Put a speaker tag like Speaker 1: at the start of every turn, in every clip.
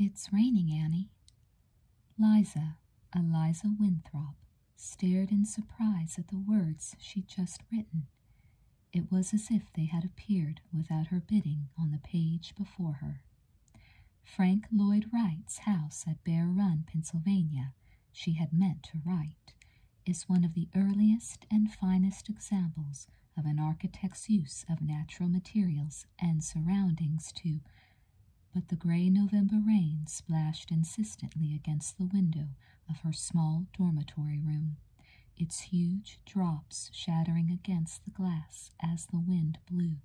Speaker 1: It's raining, Annie. Liza, Eliza Winthrop, stared in surprise at the words she'd just written. It was as if they had appeared without her bidding on the page before her. Frank Lloyd Wright's house at Bear Run, Pennsylvania, she had meant to write, is one of the earliest and finest examples of an architect's use of natural materials and surroundings to. But the gray November rain splashed insistently against the window of her small dormitory room its huge drops shattering against the glass as the wind blew.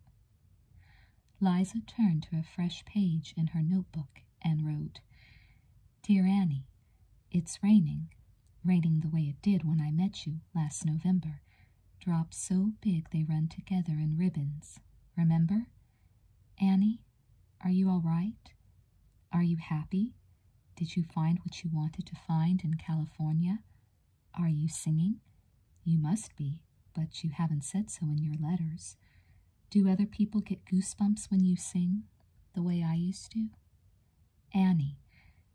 Speaker 1: Liza turned to a fresh page in her notebook and wrote, Dear Annie, it's raining, raining the way it did when I met you last November. Drops so big they run together in ribbons. Remember? Annie, are you all right? Are you happy? Did you find what you wanted to find in California? Are you singing? You must be, but you haven't said so in your letters. Do other people get goosebumps when you sing, the way I used to? Annie,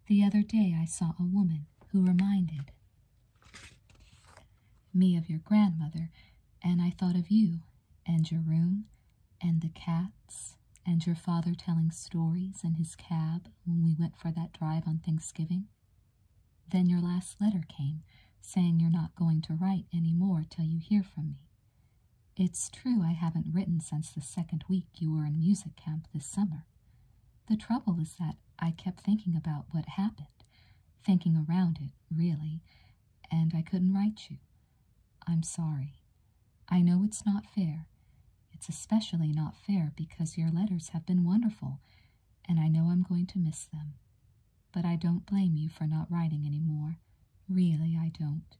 Speaker 1: the other day I saw a woman who reminded me of your grandmother, and I thought of you, and your room, and the cats, and your father telling stories in his cab when we went for that drive on Thanksgiving. Then your last letter came, saying you're not going to write any more till you hear from me. It's true I haven't written since the second week you were in music camp this summer. The trouble is that I kept thinking about what happened, thinking around it, really, and I couldn't write you. I'm sorry. I know it's not fair. It's especially not fair because your letters have been wonderful, and I know I'm going to miss them. But I don't blame you for not writing any more. Really, I don't.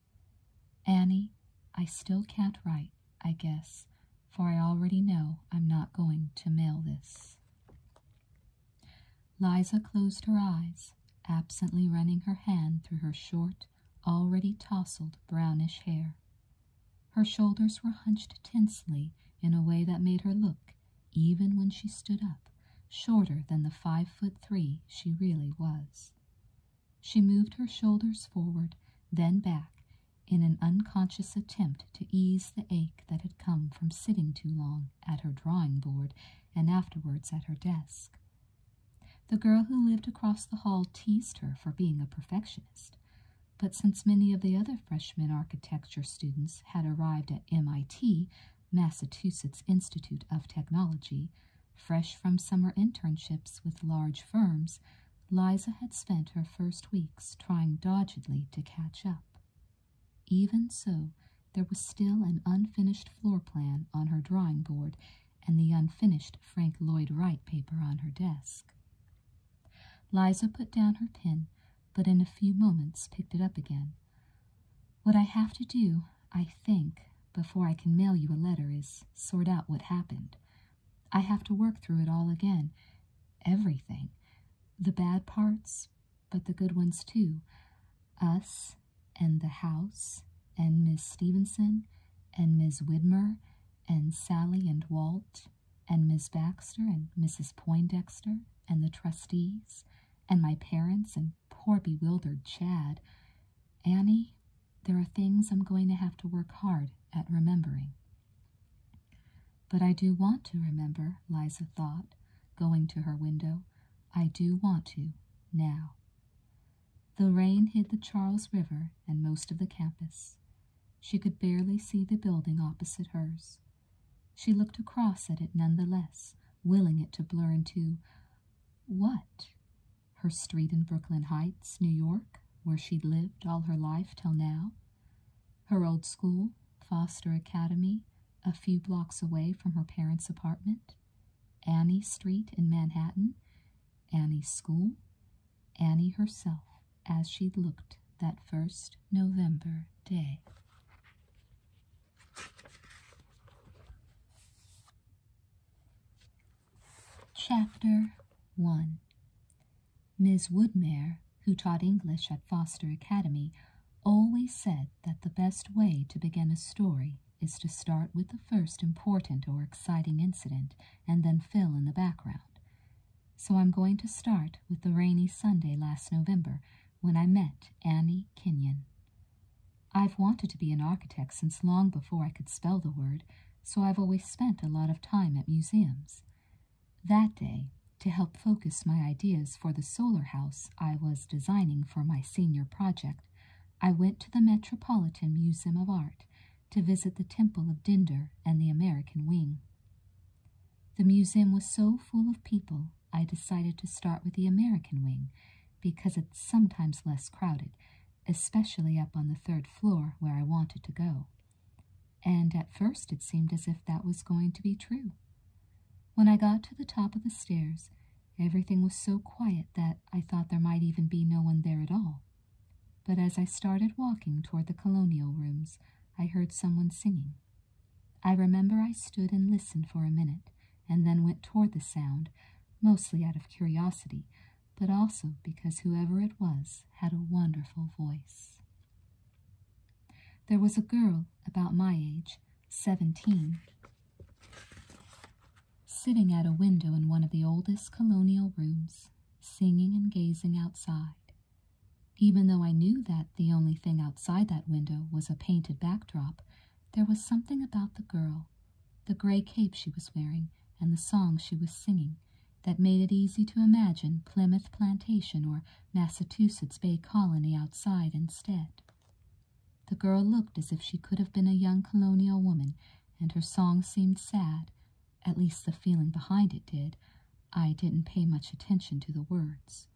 Speaker 1: Annie, I still can't write, I guess, for I already know I'm not going to mail this. Liza closed her eyes, absently running her hand through her short, already tousled brownish hair. Her shoulders were hunched tensely in a way that made her look, even when she stood up, shorter than the five foot three she really was. She moved her shoulders forward, then back, in an unconscious attempt to ease the ache that had come from sitting too long at her drawing board and afterwards at her desk. The girl who lived across the hall teased her for being a perfectionist, but since many of the other freshman architecture students had arrived at MIT, Massachusetts Institute of Technology, fresh from summer internships with large firms, Liza had spent her first weeks trying doggedly to catch up. Even so, there was still an unfinished floor plan on her drawing board and the unfinished Frank Lloyd Wright paper on her desk. Liza put down her pen, but in a few moments picked it up again. What I have to do, I think, before I can mail you a letter is sort out what happened. I have to work through it all again. Everything. The bad parts, but the good ones too. Us, and the house, and Miss Stevenson, and Miss Widmer, and Sally and Walt, and Miss Baxter and Mrs. Poindexter and the trustees and my parents and poor bewildered Chad. Annie, there are things I'm going to have to work hard at remembering. But I do want to remember, Liza thought, going to her window. I do want to, now. The rain hid the Charles River and most of the campus. She could barely see the building opposite hers. She looked across at it none the less, willing it to blur into what? Her street in Brooklyn Heights, New York, where she'd lived all her life till now? Her old school, Foster Academy, a few blocks away from her parents' apartment? Annie Street in Manhattan? Annie's school? Annie herself? as she looked that first November day. Chapter 1 Miss Woodmere, who taught English at Foster Academy, always said that the best way to begin a story is to start with the first important or exciting incident and then fill in the background. So I'm going to start with the rainy Sunday last November when I met Annie Kenyon. I've wanted to be an architect since long before I could spell the word, so I've always spent a lot of time at museums. That day, to help focus my ideas for the solar house I was designing for my senior project, I went to the Metropolitan Museum of Art to visit the Temple of Dender and the American Wing. The museum was so full of people, I decided to start with the American Wing because it's sometimes less crowded, especially up on the third floor where I wanted to go. And at first it seemed as if that was going to be true. When I got to the top of the stairs, everything was so quiet that I thought there might even be no one there at all. But as I started walking toward the colonial rooms, I heard someone singing. I remember I stood and listened for a minute, and then went toward the sound, mostly out of curiosity, but also because whoever it was had a wonderful voice. There was a girl about my age, seventeen, sitting at a window in one of the oldest colonial rooms, singing and gazing outside. Even though I knew that the only thing outside that window was a painted backdrop, there was something about the girl, the gray cape she was wearing, and the song she was singing, that made it easy to imagine Plymouth Plantation or Massachusetts Bay Colony outside instead. The girl looked as if she could have been a young colonial woman, and her song seemed sad, at least the feeling behind it did, I didn't pay much attention to the words.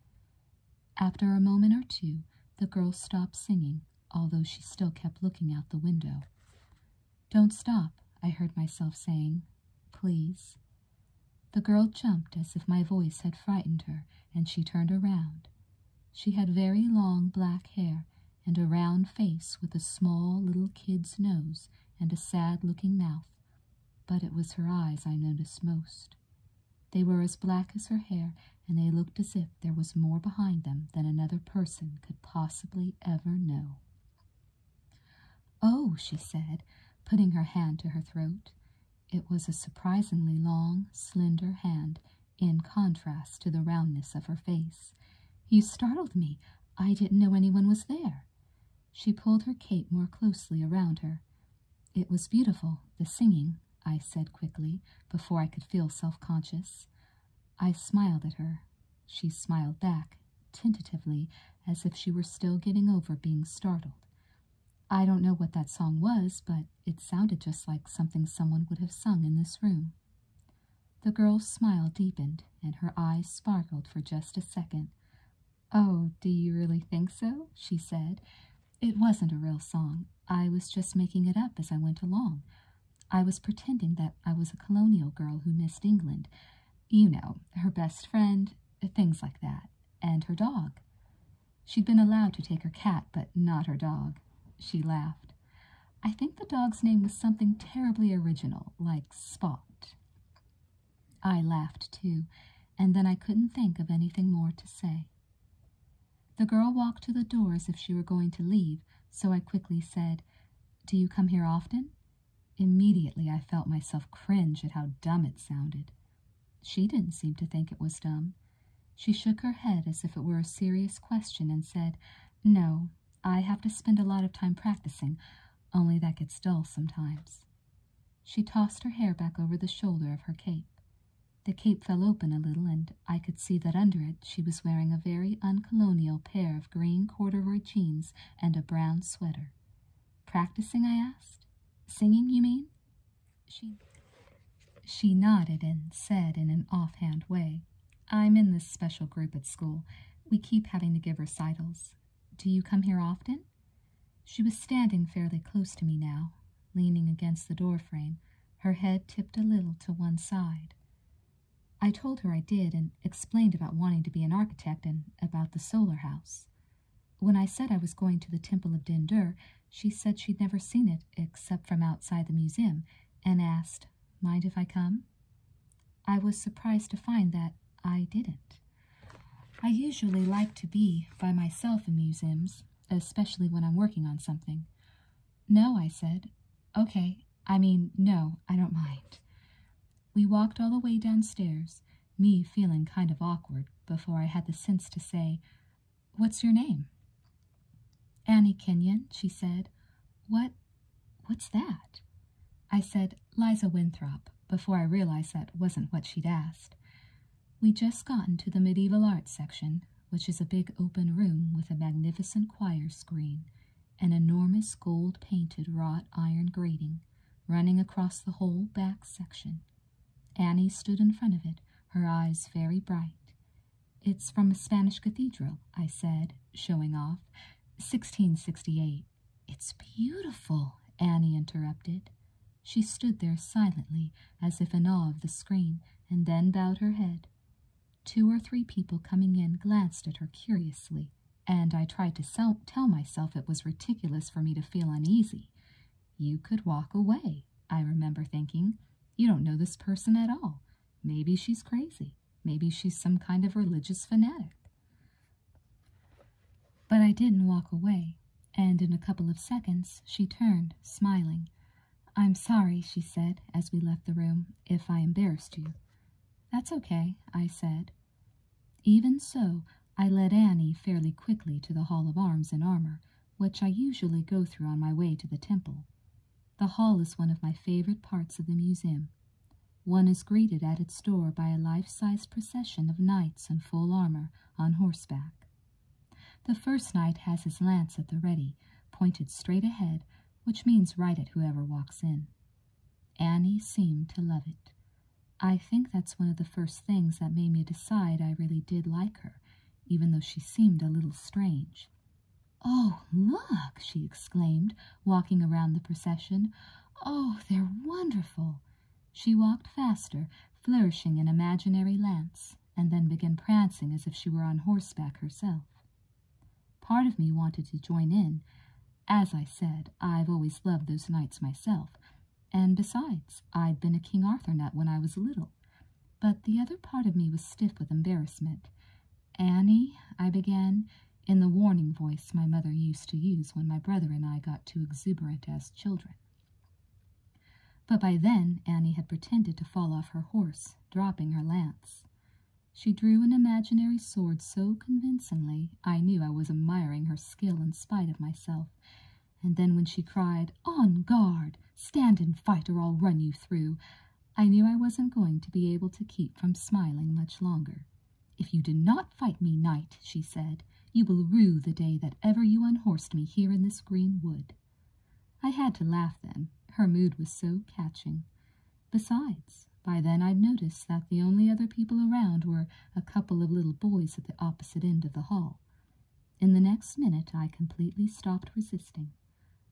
Speaker 1: After a moment or two, the girl stopped singing, although she still kept looking out the window. Don't stop, I heard myself saying. Please. The girl jumped as if my voice had frightened her, and she turned around. She had very long black hair and a round face with a small little kid's nose and a sad-looking mouth. But it was her eyes I noticed most. They were as black as her hair, and they looked as if there was more behind them than another person could possibly ever know. Oh, she said, putting her hand to her throat. It was a surprisingly long, slender hand, in contrast to the roundness of her face. You startled me. I didn't know anyone was there. She pulled her cape more closely around her. It was beautiful, the singing, I said quickly, before I could feel self-conscious. I smiled at her. She smiled back, tentatively, as if she were still getting over being startled. I don't know what that song was, but it sounded just like something someone would have sung in this room. The girl's smile deepened, and her eyes sparkled for just a second. Oh, do you really think so? she said. It wasn't a real song. I was just making it up as I went along. I was pretending that I was a colonial girl who missed England. You know, her best friend, things like that, and her dog. She'd been allowed to take her cat, but not her dog. She laughed. I think the dog's name was something terribly original, like Spot. I laughed too, and then I couldn't think of anything more to say. The girl walked to the door as if she were going to leave, so I quickly said, Do you come here often? Immediately I felt myself cringe at how dumb it sounded. She didn't seem to think it was dumb. She shook her head as if it were a serious question and said, No, I have to spend a lot of time practicing only that gets dull sometimes. She tossed her hair back over the shoulder of her cape. The cape fell open a little, and I could see that under it she was wearing a very uncolonial pair of green corduroy jeans and a brown sweater. Practicing, I asked. Singing, you mean? She, she nodded and said in an offhand way, I'm in this special group at school. We keep having to give recitals. Do you come here often? She was standing fairly close to me now, leaning against the door frame, her head tipped a little to one side. I told her I did and explained about wanting to be an architect and about the solar house. When I said I was going to the Temple of Dender, she said she'd never seen it except from outside the museum and asked, Mind if I come? I was surprised to find that I didn't. I usually like to be by myself in museums, especially when I'm working on something. No, I said. Okay, I mean, no, I don't mind. We walked all the way downstairs, me feeling kind of awkward, before I had the sense to say, What's your name? Annie Kenyon, she said. What, what's that? I said Liza Winthrop before I realized that wasn't what she'd asked. We just gotten to the medieval arts section, which is a big open room with a magnificent choir screen, an enormous gold painted wrought iron grating running across the whole back section. Annie stood in front of it, her eyes very bright. It's from a Spanish cathedral, I said, showing off. 1668 it's beautiful, Annie interrupted. She stood there silently, as if in awe of the screen, and then bowed her head. Two or three people coming in glanced at her curiously, and I tried to tell myself it was ridiculous for me to feel uneasy. You could walk away, I remember thinking. You don't know this person at all. Maybe she's crazy. Maybe she's some kind of religious fanatic. But I didn't walk away, and in a couple of seconds she turned, smiling. I'm sorry, she said, as we left the room, if I embarrassed you. That's okay, I said. Even so, I led Annie fairly quickly to the Hall of Arms and Armor, which I usually go through on my way to the temple. The hall is one of my favorite parts of the museum, one is greeted at its door by a life sized procession of knights in full armor on horseback. The first knight has his lance at the ready, pointed straight ahead, which means right at whoever walks in. Annie seemed to love it. I think that's one of the first things that made me decide I really did like her, even though she seemed a little strange. Oh, look, she exclaimed, walking around the procession. Oh, they're wonderful. She walked faster, flourishing an imaginary lance, and then began prancing as if she were on horseback herself. Part of me wanted to join in. As I said, I've always loved those knights myself, and besides, I'd been a King Arthur nut when I was little. But the other part of me was stiff with embarrassment. Annie, I began, in the warning voice my mother used to use when my brother and I got too exuberant as children. But by then Annie had pretended to fall off her horse, dropping her lance. She drew an imaginary sword so convincingly I knew I was admiring her skill in spite of myself, and then when she cried, On guard! Stand and fight or I'll run you through, I knew I wasn't going to be able to keep from smiling much longer. If you do not fight me, knight, she said, you will rue the day that ever you unhorsed me here in this green wood. I had to laugh then, her mood was so catching. Besides, by then I'd noticed that the only other people around were a couple of little boys at the opposite end of the hall. In the next minute, I completely stopped resisting.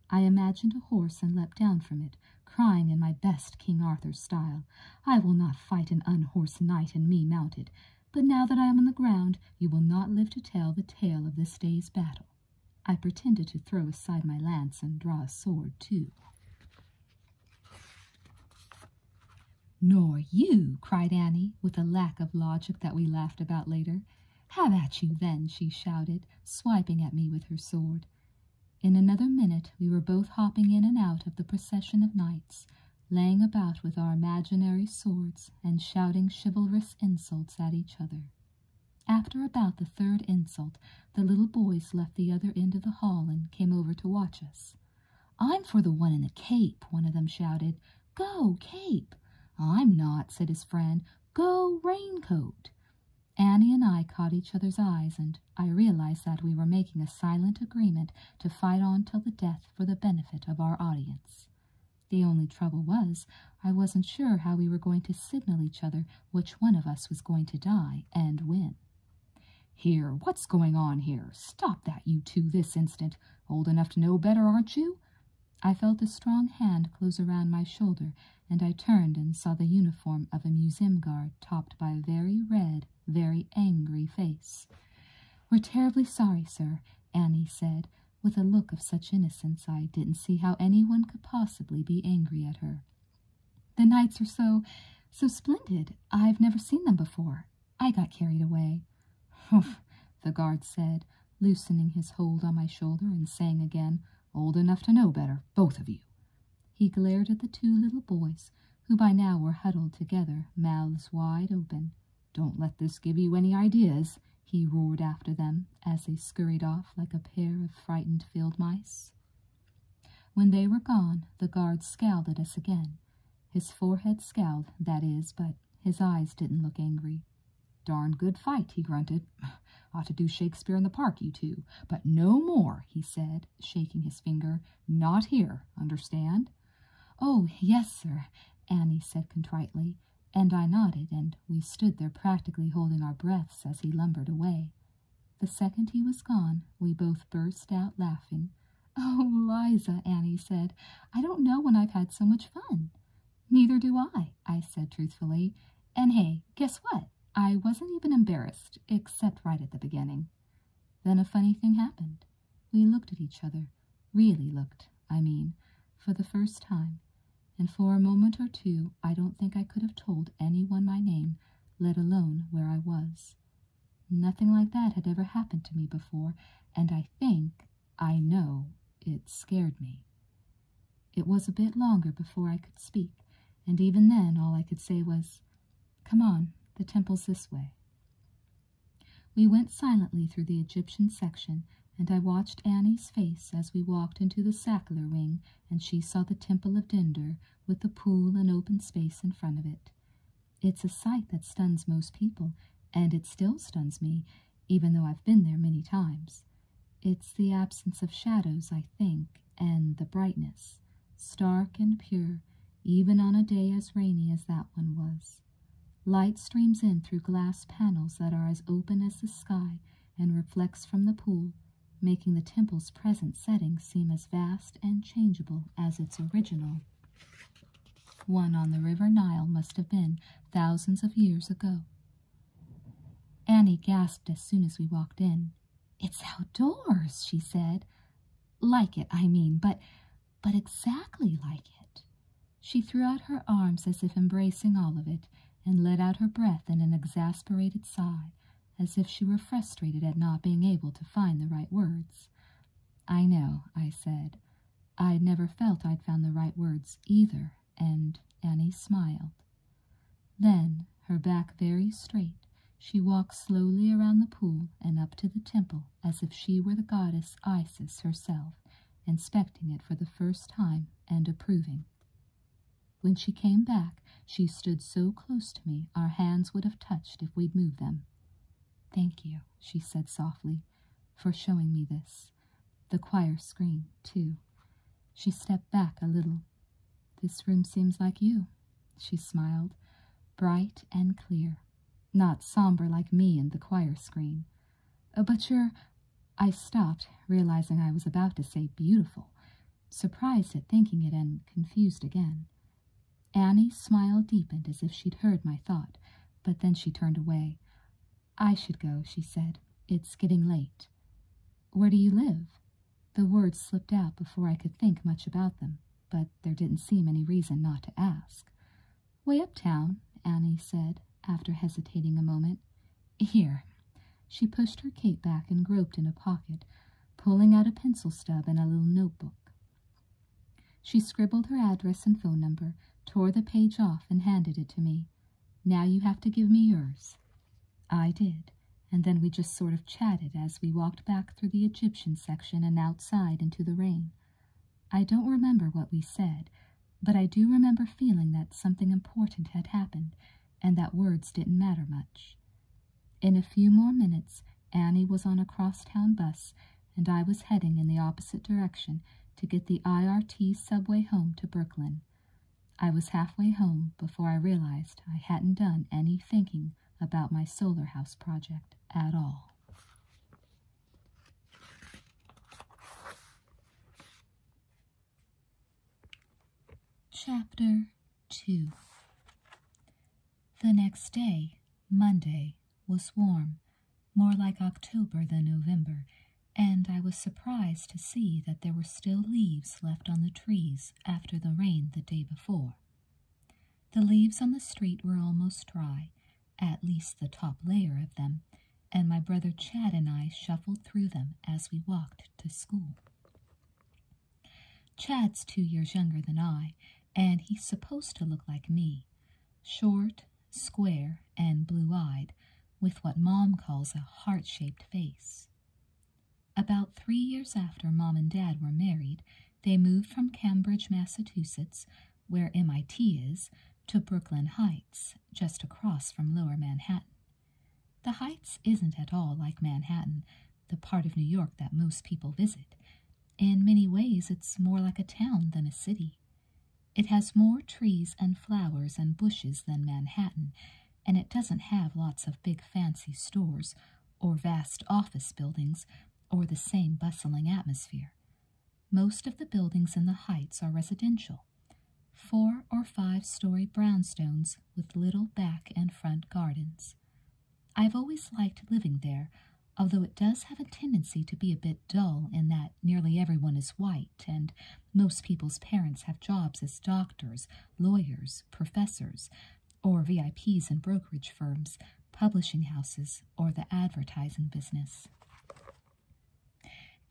Speaker 1: I imagined a horse and leapt down from it, crying in my best King Arthur style, I will not fight an unhorsed knight and me mounted, but now that I am on the ground, you will not live to tell the tale of this day's battle. I pretended to throw aside my lance and draw a sword too. Nor you, cried Annie, with a lack of logic that we laughed about later. Have at you then, she shouted, swiping at me with her sword. In another minute we were both hopping in and out of the procession of knights, laying about with our imaginary swords and shouting chivalrous insults at each other. After about the third insult, the little boys left the other end of the hall and came over to watch us. I'm for the one in the cape, one of them shouted. Go, cape! I'm not, said his friend. Go, raincoat! Annie and I caught each other's eyes and I realized that we were making a silent agreement to fight on till the death for the benefit of our audience. The only trouble was, I wasn't sure how we were going to signal each other which one of us was going to die and when. Here, what's going on here? Stop that, you two, this instant. Old enough to know better, aren't you? I felt a strong hand close around my shoulder, and I turned and saw the uniform of a museum guard topped by a very red very angry face. We're terribly sorry, sir, Annie said, with a look of such innocence I didn't see how anyone could possibly be angry at her. The nights are so, so splendid. I've never seen them before. I got carried away. Humph, the guard said, loosening his hold on my shoulder and saying again, Old enough to know better, both of you. He glared at the two little boys who by now were huddled together, mouths wide open. Don't let this give you any ideas, he roared after them as they scurried off like a pair of frightened field mice. When they were gone, the guard scowled at us again. His forehead scowled, that is, but his eyes didn't look angry. Darn good fight, he grunted. Ought to do Shakespeare in the park, you two. But no more, he said, shaking his finger. Not here, understand? Oh, yes, sir, Annie said contritely, and I nodded, and we stood there practically holding our breaths as he lumbered away. The second he was gone, we both burst out laughing. Oh, Liza, Annie said, I don't know when I've had so much fun. Neither do I, I said truthfully. And hey, guess what? I wasn't even embarrassed, except right at the beginning. Then a funny thing happened. We looked at each other, really looked, I mean, for the first time, and for a moment or two I don't think I could have told anyone my name, let alone where I was. Nothing like that had ever happened to me before, and I think, I know, it scared me. It was a bit longer before I could speak, and even then all I could say was, Come on, the temple's this way. We went silently through the Egyptian section, and I watched Annie's face as we walked into the Sackler wing. and she saw the Temple of Dender with the pool and open space in front of it. It's a sight that stuns most people, and it still stuns me, even though I've been there many times. It's the absence of shadows, I think, and the brightness, stark and pure, even on a day as rainy as that one was. Light streams in through glass panels that are as open as the sky and reflects from the pool, making the temple's present setting seem as vast and changeable as its original. One on the River Nile must have been thousands of years ago. Annie gasped as soon as we walked in. It's outdoors, she said. Like it, I mean, but but exactly like it. She threw out her arms as if embracing all of it, and let out her breath in an exasperated sigh, as if she were frustrated at not being able to find the right words. I know, I said. I'd never felt I'd found the right words either, and Annie smiled. Then, her back very straight, she walked slowly around the pool and up to the temple as if she were the goddess Isis herself, inspecting it for the first time and approving. When she came back, she stood so close to me our hands would have touched if we'd moved them. Thank you, she said softly, for showing me this. The choir screen, too. She stepped back a little. This room seems like you, she smiled, bright and clear, not somber like me and the choir screen. Uh, but you're. I stopped, realizing I was about to say beautiful, surprised at thinking it and confused again. Annie's smile deepened as if she'd heard my thought, but then she turned away. I should go, she said. It's getting late. Where do you live? The words slipped out before I could think much about them but there didn't seem any reason not to ask. Way uptown, Annie said, after hesitating a moment. Here. She pushed her cape back and groped in a pocket, pulling out a pencil stub and a little notebook. She scribbled her address and phone number, tore the page off, and handed it to me. Now you have to give me yours. I did, and then we just sort of chatted as we walked back through the Egyptian section and outside into the rain. I don't remember what we said, but I do remember feeling that something important had happened and that words didn't matter much. In a few more minutes, Annie was on a crosstown bus, and I was heading in the opposite direction to get the IRT subway home to Brooklyn. I was halfway home before I realized I hadn't done any thinking about my solar house project at all. Chapter 2 The next day, Monday, was warm, more like October than November, and I was surprised to see that there were still leaves left on the trees after the rain the day before. The leaves on the street were almost dry, at least the top layer of them, and my brother Chad and I shuffled through them as we walked to school. Chad's two years younger than I, and he's supposed to look like me short, square, and blue eyed, with what Mom calls a heart shaped face. About three years after Mom and Dad were married, they moved from Cambridge, Massachusetts, where MIT is, to Brooklyn Heights, just across from lower Manhattan. The Heights isn't at all like Manhattan, the part of New York that most people visit. In many ways, it's more like a town than a city. It has more trees and flowers and bushes than Manhattan, and it doesn't have lots of big fancy stores or vast office buildings or the same bustling atmosphere. Most of the buildings in the Heights are residential, four or five story brownstones with little back and front gardens. I've always liked living there, although it does have a tendency to be a bit dull in that nearly everyone is white and most people's parents have jobs as doctors, lawyers, professors, or VIPs in brokerage firms, publishing houses, or the advertising business.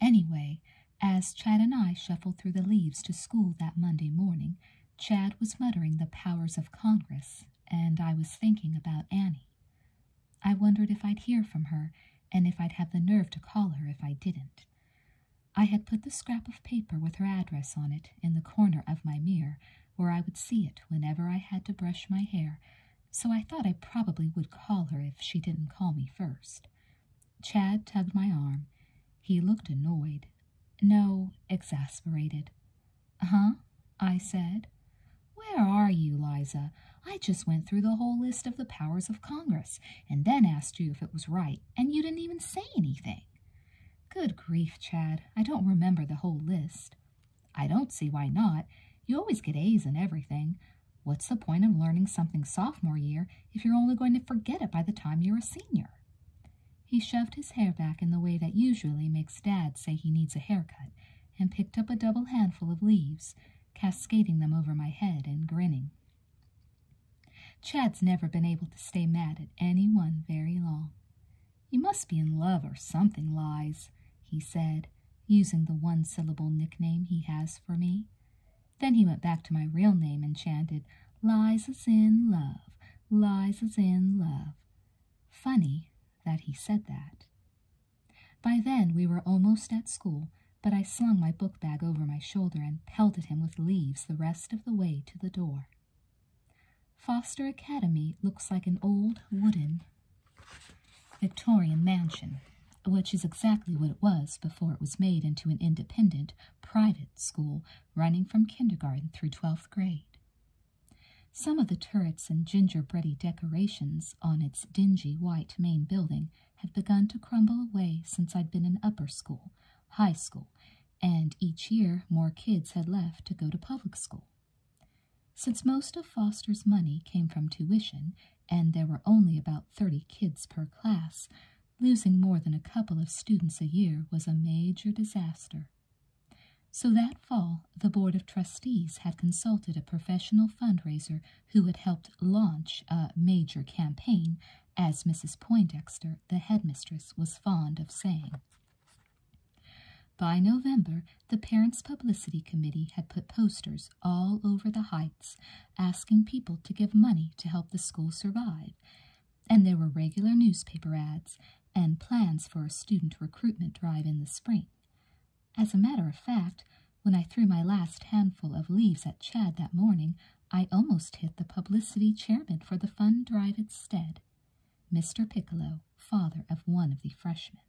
Speaker 1: Anyway, as Chad and I shuffled through the leaves to school that Monday morning, Chad was muttering the powers of Congress, and I was thinking about Annie. I wondered if I'd hear from her and if I'd have the nerve to call her if I didn't. I had put the scrap of paper with her address on it in the corner of my mirror where I would see it whenever I had to brush my hair, so I thought I probably would call her if she didn't call me first. Chad tugged my arm. He looked annoyed. No, exasperated. Huh? I said. Where are you, Liza? I just went through the whole list of the powers of Congress and then asked you if it was right, and you didn't even say anything. Good grief, Chad. I don't remember the whole list. I don't see why not. You always get A's in everything. What's the point of learning something sophomore year if you're only going to forget it by the time you're a senior? He shoved his hair back in the way that usually makes Dad say he needs a haircut and picked up a double handful of leaves, cascading them over my head and grinning. Chad's never been able to stay mad at anyone very long. You must be in love or something, Lize," he said, using the one syllable nickname he has for me. Then he went back to my real name and chanted, "Lize is in love, Lize is in love. Funny that he said that. By then we were almost at school, but I slung my book bag over my shoulder and pelted him with leaves the rest of the way to the door. Foster Academy looks like an old wooden Victorian mansion, which is exactly what it was before it was made into an independent, private school running from kindergarten through 12th grade. Some of the turrets and gingerbready decorations on its dingy white main building had begun to crumble away since I'd been in upper school, high school, and each year more kids had left to go to public school. Since most of Foster's money came from tuition, and there were only about thirty kids per class, losing more than a couple of students a year was a major disaster. So that fall, the Board of Trustees had consulted a professional fundraiser who had helped launch a major campaign, as Mrs. Poindexter, the headmistress, was fond of saying. By November, the Parents' Publicity Committee had put posters all over the Heights asking people to give money to help the school survive, and there were regular newspaper ads and plans for a student recruitment drive in the spring. As a matter of fact, when I threw my last handful of leaves at Chad that morning, I almost hit the publicity chairman for the fund drive instead, Mr. Piccolo, father of one of the freshmen.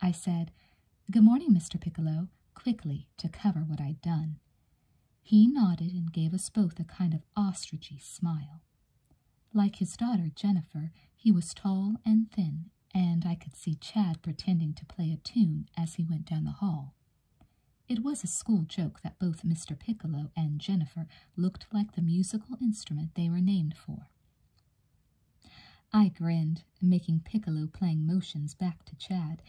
Speaker 1: I said, Good morning, Mr. Piccolo, quickly to cover what I'd done. He nodded and gave us both a kind of ostrichy smile. Like his daughter Jennifer, he was tall and thin, and I could see Chad pretending to play a tune as he went down the hall. It was a school joke that both Mr. Piccolo and Jennifer looked like the musical instrument they were named for. I grinned, making Piccolo playing motions back to Chad,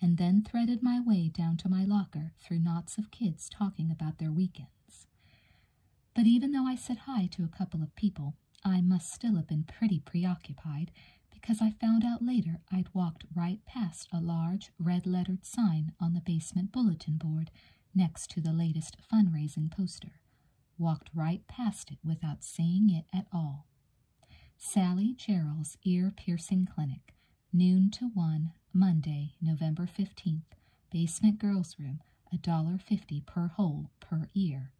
Speaker 1: and then threaded my way down to my locker through knots of kids talking about their weekends. But even though I said hi to a couple of people, I must still have been pretty preoccupied because I found out later I'd walked right past a large red lettered sign on the basement bulletin board next to the latest fundraising poster, walked right past it without seeing it at all. Sally Gerald's Ear Piercing Clinic, noon to one, Monday, November 15th, basement girls' room, $1.50 per hole per ear.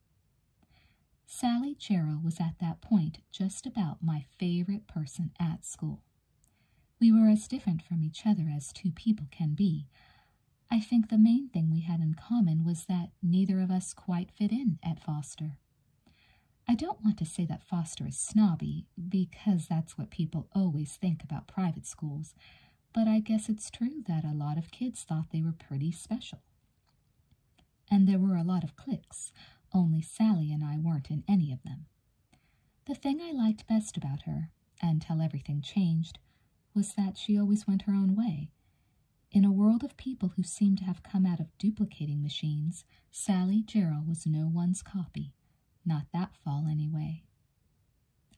Speaker 1: Sally Gerald was at that point just about my favorite person at school. We were as different from each other as two people can be. I think the main thing we had in common was that neither of us quite fit in at Foster. I don't want to say that Foster is snobby, because that's what people always think about private schools, but I guess it's true that a lot of kids thought they were pretty special. And there were a lot of cliques, only Sally and I weren't in any of them. The thing I liked best about her, until everything changed, was that she always went her own way, in a world of people who seemed to have come out of duplicating machines, Sally Gerald was no one's copy. Not that fall, anyway.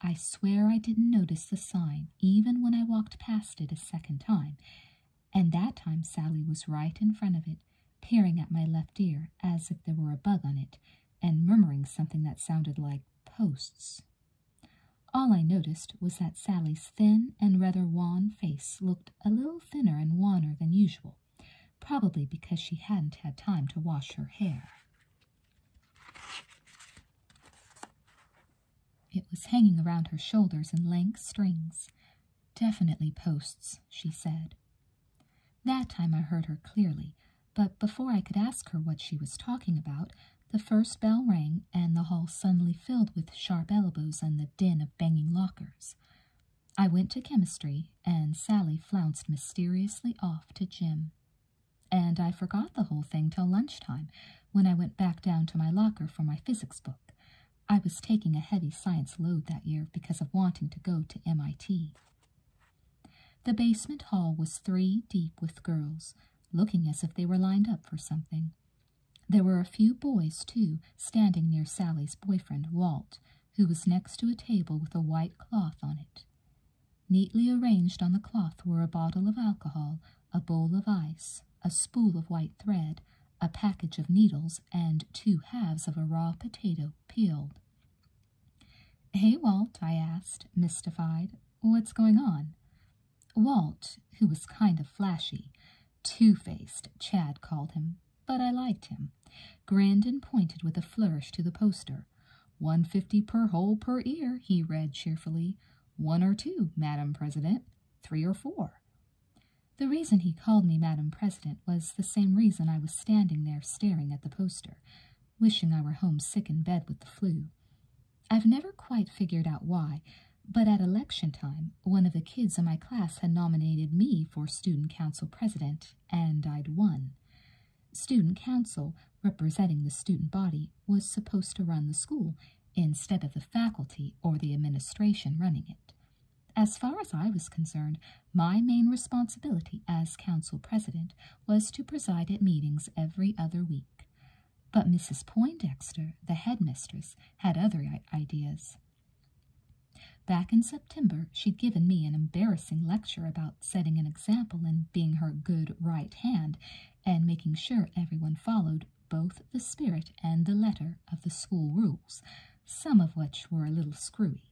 Speaker 1: I swear I didn't notice the sign, even when I walked past it a second time. And that time Sally was right in front of it, peering at my left ear as if there were a bug on it, and murmuring something that sounded like posts. All I noticed was that Sally's thin and rather wan face looked a little thinner and wanner than usual, probably because she hadn't had time to wash her hair. It was hanging around her shoulders in lank strings. Definitely posts, she said. That time I heard her clearly, but before I could ask her what she was talking about, the first bell rang, and the hall suddenly filled with sharp elbows and the din of banging lockers. I went to chemistry, and Sally flounced mysteriously off to gym. And I forgot the whole thing till lunchtime, when I went back down to my locker for my physics book. I was taking a heavy science load that year because of wanting to go to MIT. The basement hall was three deep with girls, looking as if they were lined up for something. There were a few boys, too, standing near Sally's boyfriend, Walt, who was next to a table with a white cloth on it. Neatly arranged on the cloth were a bottle of alcohol, a bowl of ice, a spool of white thread, a package of needles, and two halves of a raw potato peeled. Hey, Walt, I asked, mystified. What's going on? Walt, who was kind of flashy, two-faced, Chad called him, but I liked him, grinned and pointed with a flourish to the poster. One fifty per hole per ear, he read cheerfully. One or two, Madam President. Three or four. The reason he called me Madam President was the same reason I was standing there staring at the poster, wishing I were homesick in bed with the flu. I've never quite figured out why, but at election time, one of the kids in my class had nominated me for student council president, and I'd won. Student council, representing the student body, was supposed to run the school instead of the faculty or the administration running it. As far as I was concerned, my main responsibility as council president was to preside at meetings every other week. But Mrs. Poindexter, the headmistress, had other ideas. Back in September, she'd given me an embarrassing lecture about setting an example and being her good right hand and making sure everyone followed both the spirit and the letter of the school rules, some of which were a little screwy.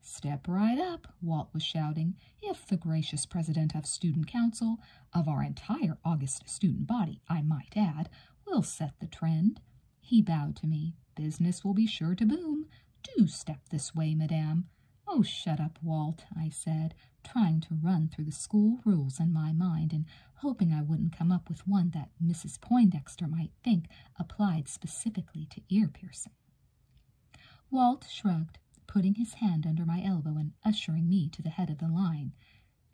Speaker 1: Step right up, Walt was shouting, if the gracious president of student council of our entire August student body, I might add, will set the trend. He bowed to me. Business will be sure to boom. Do step this way, madame. Oh, shut up, Walt, I said, trying to run through the school rules in my mind and hoping I wouldn't come up with one that Mrs. Poindexter might think applied specifically to ear piercing. Walt shrugged, putting his hand under my elbow and ushering me to the head of the line.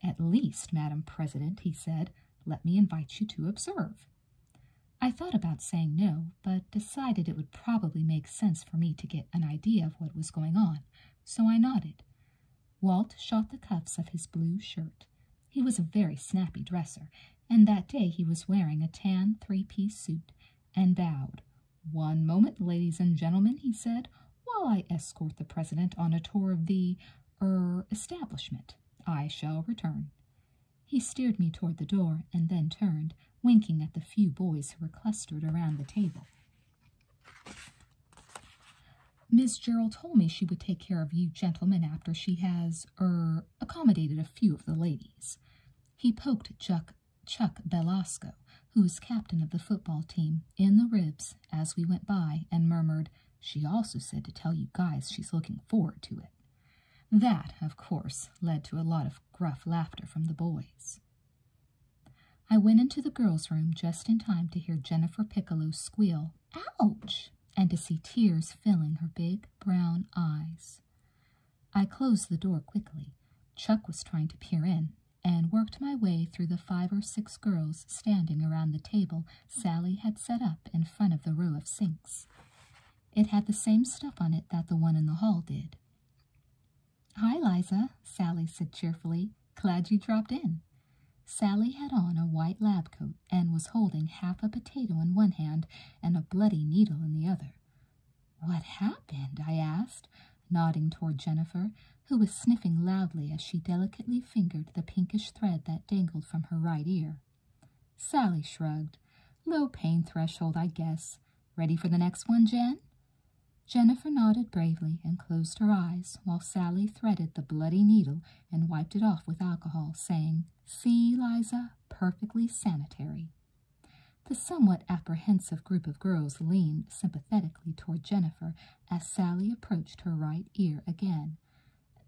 Speaker 1: At least, Madam President, he said, let me invite you to observe. I thought about saying no, but decided it would probably make sense for me to get an idea of what was going on, so I nodded. Walt shot the cuffs of his blue shirt. He was a very snappy dresser, and that day he was wearing a tan three-piece suit, and bowed. One moment, ladies and gentlemen, he said while I escort the president on a tour of the er establishment. I shall return. He steered me toward the door and then turned, winking at the few boys who were clustered around the table. Miss Gerald told me she would take care of you gentlemen after she has, er, accommodated a few of the ladies. He poked Chuck, Chuck Belasco, who is captain of the football team, in the ribs as we went by and murmured, She also said to tell you guys she's looking forward to it. That, of course, led to a lot of gruff laughter from the boys. I went into the girls' room just in time to hear Jennifer Piccolo squeal, Ouch! and to see tears filling her big brown eyes. I closed the door quickly. Chuck was trying to peer in, and worked my way through the five or six girls standing around the table Sally had set up in front of the row of sinks. It had the same stuff on it that the one in the hall did. Hi, Liza, Sally said cheerfully. Glad you dropped in. Sally had on a white lab coat and was holding half a potato in one hand and a bloody needle in the other. What happened? I asked, nodding toward Jennifer, who was sniffing loudly as she delicately fingered the pinkish thread that dangled from her right ear. Sally shrugged. Low pain threshold, I guess. Ready for the next one, Jen? Jennifer nodded bravely and closed her eyes while Sally threaded the bloody needle and wiped it off with alcohol, saying, See, Liza, perfectly sanitary. The somewhat apprehensive group of girls leaned sympathetically toward Jennifer as Sally approached her right ear again.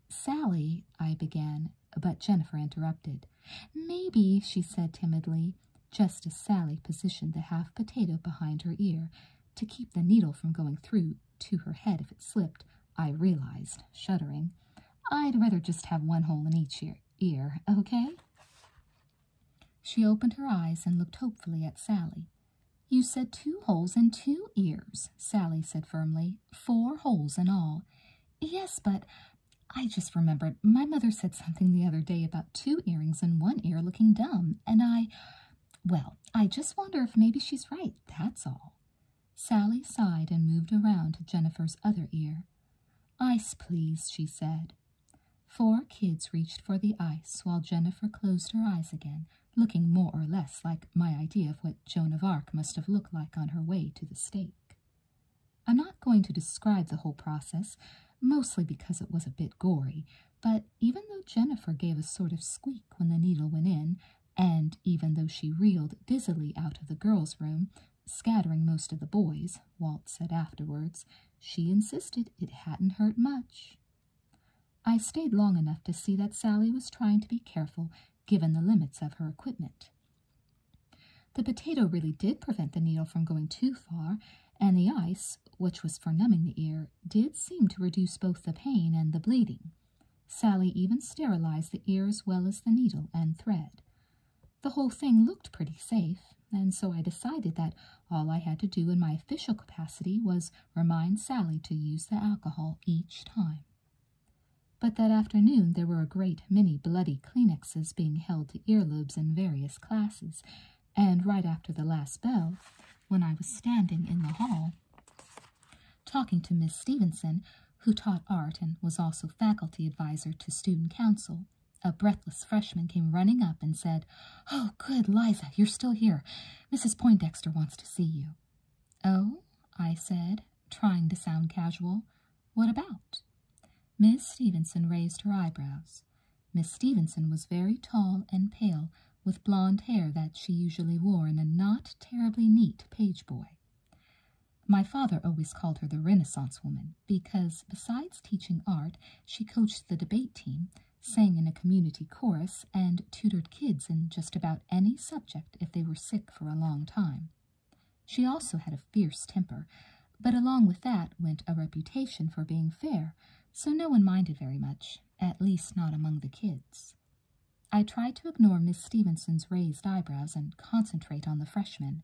Speaker 1: Sally, I began, but Jennifer interrupted. Maybe, she said timidly, just as Sally positioned the half potato behind her ear to keep the needle from going through to her head if it slipped, I realized, shuddering. I'd rather just have one hole in each ear, okay? She opened her eyes and looked hopefully at Sally. You said two holes and two ears, Sally said firmly. "Four holes in all. Yes, but I just remembered my mother said something the other day about two earrings and one ear looking dumb, and I. Well, I just wonder if maybe she's right, that's all. Sally sighed and moved around to Jennifer's other ear. Ice, please, she said. Four kids reached for the ice while Jennifer closed her eyes again looking more or less like my idea of what Joan of Arc must have looked like on her way to the stake. I'm not going to describe the whole process, mostly because it was a bit gory, but even though Jennifer gave a sort of squeak when the needle went in, and even though she reeled dizzily out of the girls' room, scattering most of the boys, Walt said afterwards, she insisted it hadn't hurt much. I stayed long enough to see that Sally was trying to be careful given the limits of her equipment. The potato really did prevent the needle from going too far, and the ice, which was for numbing the ear, did seem to reduce both the pain and the bleeding. Sally even sterilized the ear as well as the needle and thread. The whole thing looked pretty safe, and so I decided that all I had to do in my official capacity was remind Sally to use the alcohol each time. But that afternoon there were a great many bloody Kleenexes being held to earlobes in various classes, and right after the last bell, when I was standing in the hall, talking to Miss Stevenson, who taught art and was also faculty adviser to student council, a breathless freshman came running up and said, Oh, good, Liza, you're still here. Mrs. Poindexter wants to see you. Oh, I said, trying to sound casual. What about? Miss Stevenson raised her eyebrows. Miss Stevenson was very tall and pale, with blonde hair that she usually wore in a not terribly neat page boy. My father always called her the Renaissance woman because, besides teaching art, she coached the debate team, sang in a community chorus, and tutored kids in just about any subject if they were sick for a long time. She also had a fierce temper, but along with that went a reputation for being fair, so no one minded very much, at least not among the kids. I tried to ignore Miss Stevenson's raised eyebrows and concentrate on the freshman.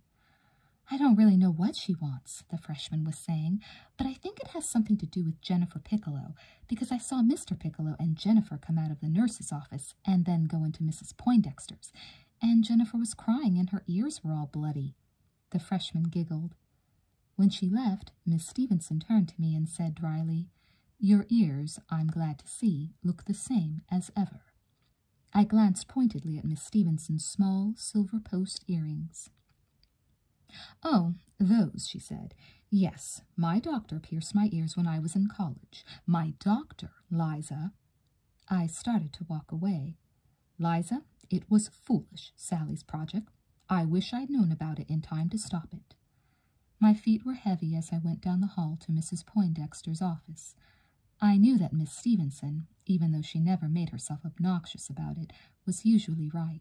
Speaker 1: I don't really know what she wants, the freshman was saying, but I think it has something to do with Jennifer Piccolo, because I saw Mr. Piccolo and Jennifer come out of the nurse's office and then go into Mrs. Poindexter's, and Jennifer was crying and her ears were all bloody. The freshman giggled. When she left, Miss Stevenson turned to me and said drily, Your ears, I'm glad to see, look the same as ever. I glanced pointedly at Miss Stevenson's small silver post earrings. Oh, those, she said. Yes, my doctor pierced my ears when I was in college. My doctor, Liza. I started to walk away. Liza, it was foolish, Sally's project. I wish I'd known about it in time to stop it. My feet were heavy as I went down the hall to Mrs. Poindexter's office. I knew that Miss Stevenson, even though she never made herself obnoxious about it, was usually right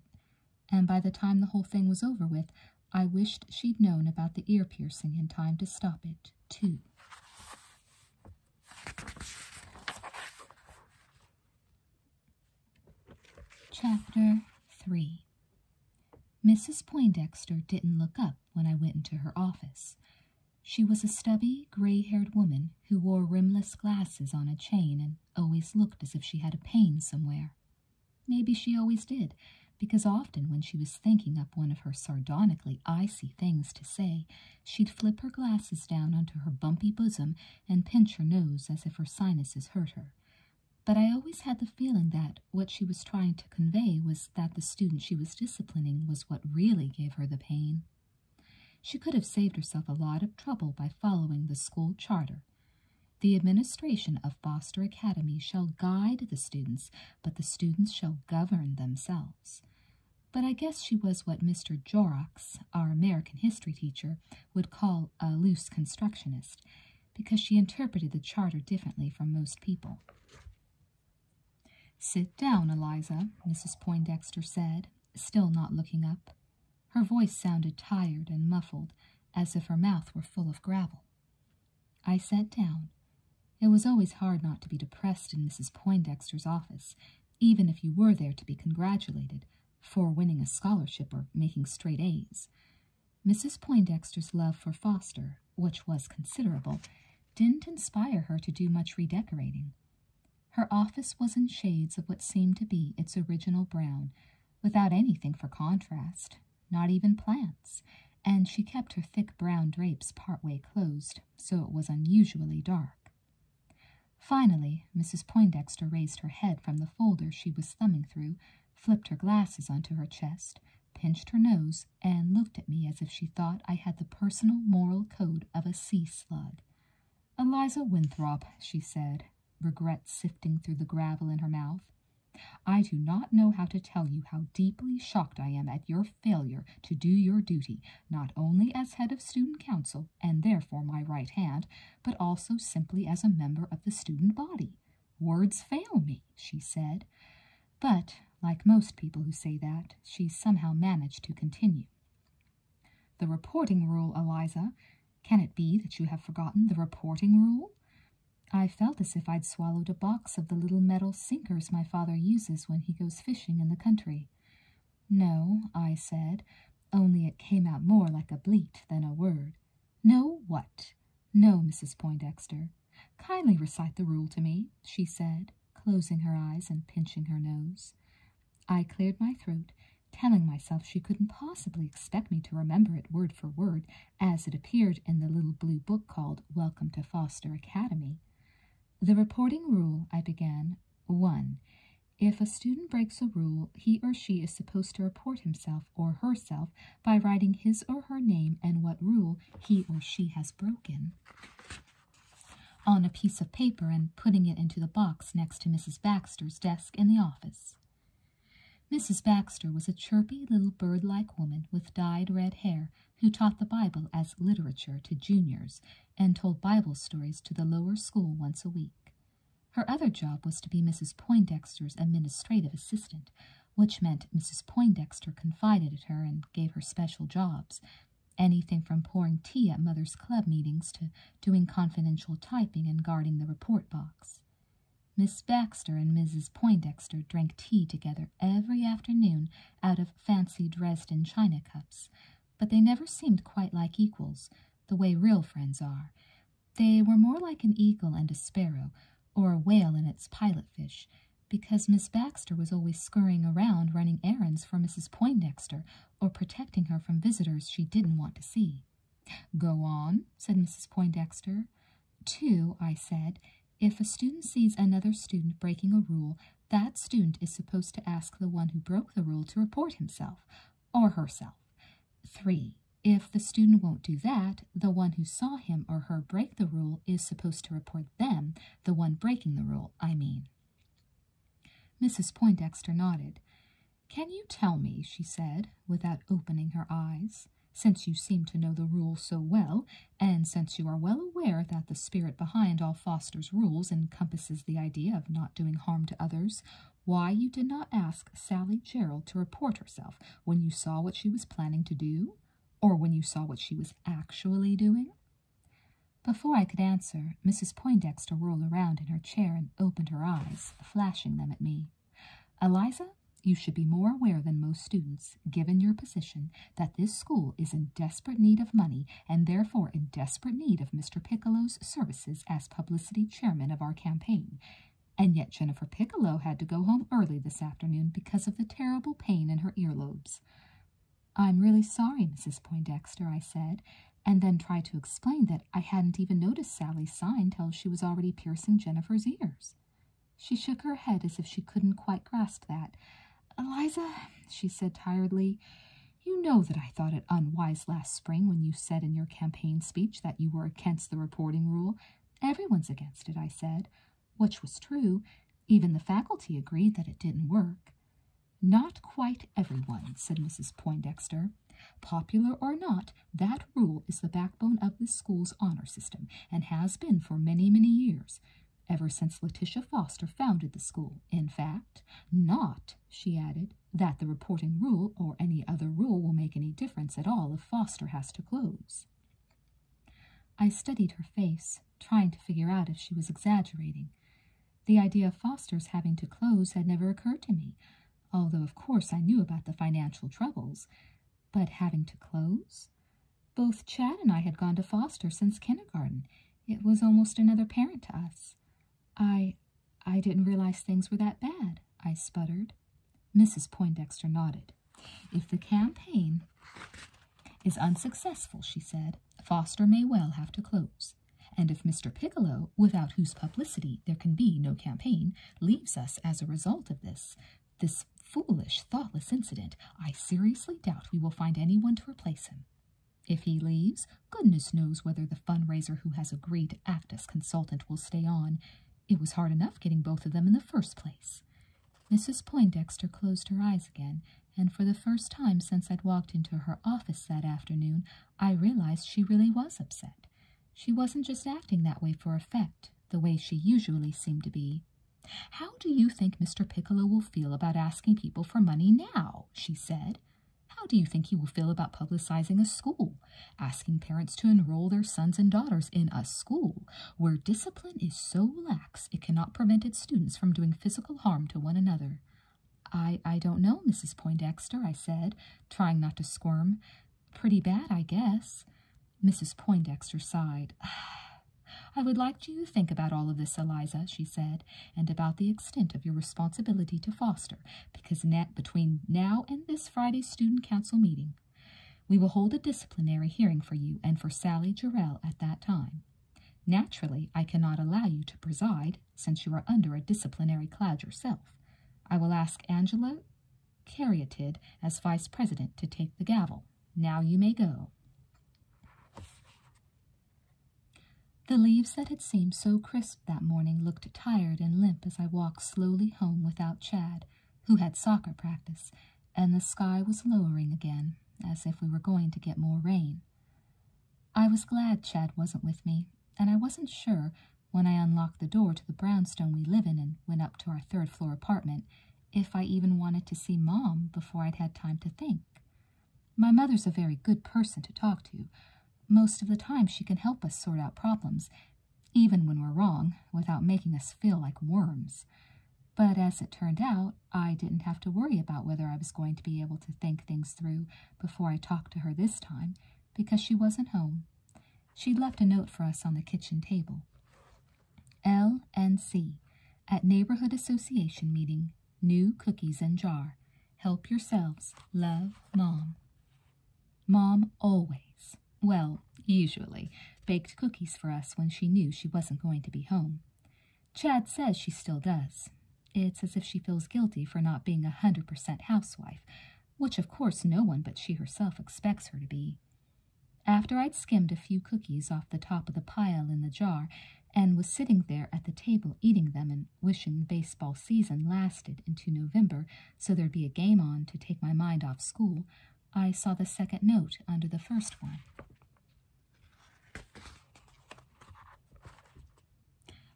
Speaker 1: and by the time the whole thing was over with, I wished she'd known about the ear piercing in time to stop it, too. Chapter 3 Mrs. Poindexter didn't look up when I went into her office. She was a stubby, gray-haired woman who wore rimless glasses on a chain and always looked as if she had a pain somewhere. Maybe she always did, because often when she was thinking up one of her sardonically icy things to say, she'd flip her glasses down onto her bumpy bosom and pinch her nose as if her sinuses hurt her. But I always had the feeling that what she was trying to convey was that the student she was disciplining was what really gave her the pain. She could have saved herself a lot of trouble by following the school charter, the administration of Foster Academy shall guide the students, but the students shall govern themselves. But I guess she was what Mr. Jorrocks, our American history teacher, would call a loose constructionist, because she interpreted the charter differently from most people. Sit down, Eliza, Mrs. Poindexter said, still not looking up. Her voice sounded tired and muffled, as if her mouth were full of gravel. I sat down. It was always hard not to be depressed in Mrs. Poindexter's office, even if you were there to be congratulated for winning a scholarship or making straight A's. Mrs. Poindexter's love for Foster, which was considerable, didn't inspire her to do much redecorating. Her office was in shades of what seemed to be its original brown, without anything for contrast, not even plants, and she kept her thick brown drapes part way closed, so it was unusually dark. Finally, Mrs. Poindexter raised her head from the folder she was thumbing through, flipped her glasses onto her chest, pinched her nose, and looked at me as if she thought I had the personal moral code of a sea slug. Eliza Winthrop, she said, regret sifting through the gravel in her mouth. I do not know how to tell you how deeply shocked I am at your failure to do your duty, not only as head of student council, and therefore my right hand, but also simply as a member of the student body. Words fail me, she said. But, like most people who say that, she somehow managed to continue. The reporting rule, Eliza. Can it be that you have forgotten the reporting rule? I felt as if I'd swallowed a box of the little metal sinkers my father uses when he goes fishing in the country. No, I said, only it came out more like a bleat than a word. No, what? No, Mrs. Poindexter. Kindly recite the rule to me, she said, closing her eyes and pinching her nose. I cleared my throat, telling myself she couldn't possibly expect me to remember it word for word as it appeared in the little blue book called Welcome to Foster Academy. The reporting rule, I began, 1. If a student breaks a rule, he or she is supposed to report himself or herself by writing his or her name and what rule he or she has broken on a piece of paper and putting it into the box next to Mrs. Baxter's desk in the office. Mrs. Baxter was a chirpy little bird like woman with dyed red hair who taught the Bible as literature to juniors and told Bible stories to the lower school once a week. Her other job was to be Mrs. Poindexter's administrative assistant, which meant Mrs. Poindexter confided in her and gave her special jobs anything from pouring tea at Mother's club meetings to doing confidential typing and guarding the report box. Miss Baxter and Mrs. Poindexter drank tea together every afternoon out of fancy Dresden china cups, but they never seemed quite like equals, the way real friends are. They were more like an eagle and a sparrow, or a whale and its pilot fish, because Miss Baxter was always scurrying around running errands for Mrs. Poindexter or protecting her from visitors she didn't want to see. Go on, said Mrs. Poindexter. Two, I said, if a student sees another student breaking a rule, that student is supposed to ask the one who broke the rule to report himself or herself. Three, if the student won't do that, the one who saw him or her break the rule is supposed to report them, the one breaking the rule, I mean. Mrs. Poindexter nodded. Can you tell me, she said, without opening her eyes, since you seem to know the rule so well, and since you are well aware that the spirit behind all Foster's rules encompasses the idea of not doing harm to others, why you did not ask Sally Gerald to report herself when you saw what she was planning to do, or when you saw what she was actually doing? Before I could answer, Mrs. Poindexter whirled around in her chair and opened her eyes, flashing them at me. Eliza, you should be more aware than most students, given your position, that this school is in desperate need of money and therefore in desperate need of Mr. Piccolo's services as publicity chairman of our campaign. And yet Jennifer Piccolo had to go home early this afternoon because of the terrible pain in her earlobes. I'm really sorry, Mrs. Poindexter, I said, and then tried to explain that I hadn't even noticed Sally's sign till she was already piercing Jennifer's ears. She shook her head as if she couldn't quite grasp that. Eliza, she said tiredly, you know that I thought it unwise last spring when you said in your campaign speech that you were against the reporting rule. Everyone's against it, I said, which was true. Even the faculty agreed that it didn't work. Not quite everyone, said Mrs. Poindexter. Popular or not, that rule is the back backbone of this school's honor system and has been for many, many years, ever since Letitia Foster founded the school. In fact, not, she added, that the reporting rule or any other rule will make any difference at all if Foster has to close. I studied her face, trying to figure out if she was exaggerating. The idea of Foster's having to close had never occurred to me, although of course I knew about the financial troubles but having to close. Both Chad and I had gone to Foster since kindergarten. It was almost another parent to us. I, I didn't realize things were that bad, I sputtered. Mrs. Poindexter nodded. If the campaign is unsuccessful, she said, Foster may well have to close. And if Mr. Piccolo, without whose publicity there can be no campaign, leaves us as a result of this, this foolish, thoughtless incident, I seriously doubt we will find anyone to replace him. If he leaves, goodness knows whether the fundraiser who has agreed to act as consultant will stay on. It was hard enough getting both of them in the first place. Mrs. Poindexter closed her eyes again, and for the first time since I'd walked into her office that afternoon, I realized she really was upset. She wasn't just acting that way for effect, the way she usually seemed to be, how do you think Mr. Piccolo will feel about asking people for money now? she said. How do you think he will feel about publicizing a school, asking parents to enroll their sons and daughters in a school where discipline is so lax it cannot prevent its students from doing physical harm to one another? I, I don't know, Mrs. Poindexter, I said, trying not to squirm. Pretty bad, I guess. Mrs. Poindexter sighed. I would like you to think about all of this, Eliza, she said, and about the extent of your responsibility to Foster, because between now and this Friday's student council meeting, we will hold a disciplinary hearing for you and for Sally Jarrell at that time. Naturally, I cannot allow you to preside, since you are under a disciplinary cloud yourself. I will ask Angela Caryatid as vice president to take the gavel. Now you may go. The leaves that had seemed so crisp that morning looked tired and limp as I walked slowly home without Chad, who had soccer practice, and the sky was lowering again, as if we were going to get more rain. I was glad Chad wasn't with me, and I wasn't sure when I unlocked the door to the brownstone we live in and went up to our third floor apartment if I even wanted to see Mom before I'd had time to think. My mother's a very good person to talk to. Most of the time, she can help us sort out problems, even when we're wrong, without making us feel like worms. But as it turned out, I didn't have to worry about whether I was going to be able to think things through before I talked to her this time, because she wasn't home. She'd left a note for us on the kitchen table. LNC at Neighborhood Association Meeting, New Cookies in Jar. Help yourselves. Love, Mom. Mom always, well, usually, baked cookies for us when she knew she wasn't going to be home. Chad says she still does. It's as if she feels guilty for not being a 100% housewife, which of course no one but she herself expects her to be. After I'd skimmed a few cookies off the top of the pile in the jar and was sitting there at the table eating them and wishing baseball season lasted into November so there'd be a game on to take my mind off school, I saw the second note under the first one.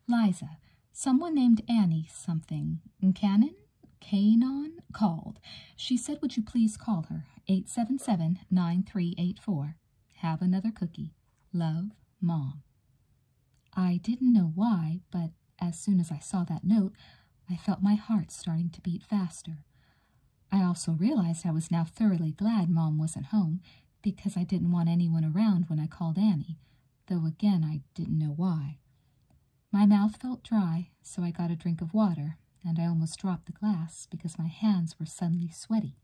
Speaker 1: Liza, someone named Annie something, Cannon, Canon called. She said, Would you please call her? 877 9384. Have another cookie. Love, Mom. I didn't know why, but as soon as I saw that note, I felt my heart starting to beat faster. I also realized I was now thoroughly glad Mom wasn't home because I didn't want anyone around when I called Annie, though again I didn't know why. My mouth felt dry, so I got a drink of water and I almost dropped the glass because my hands were suddenly sweaty.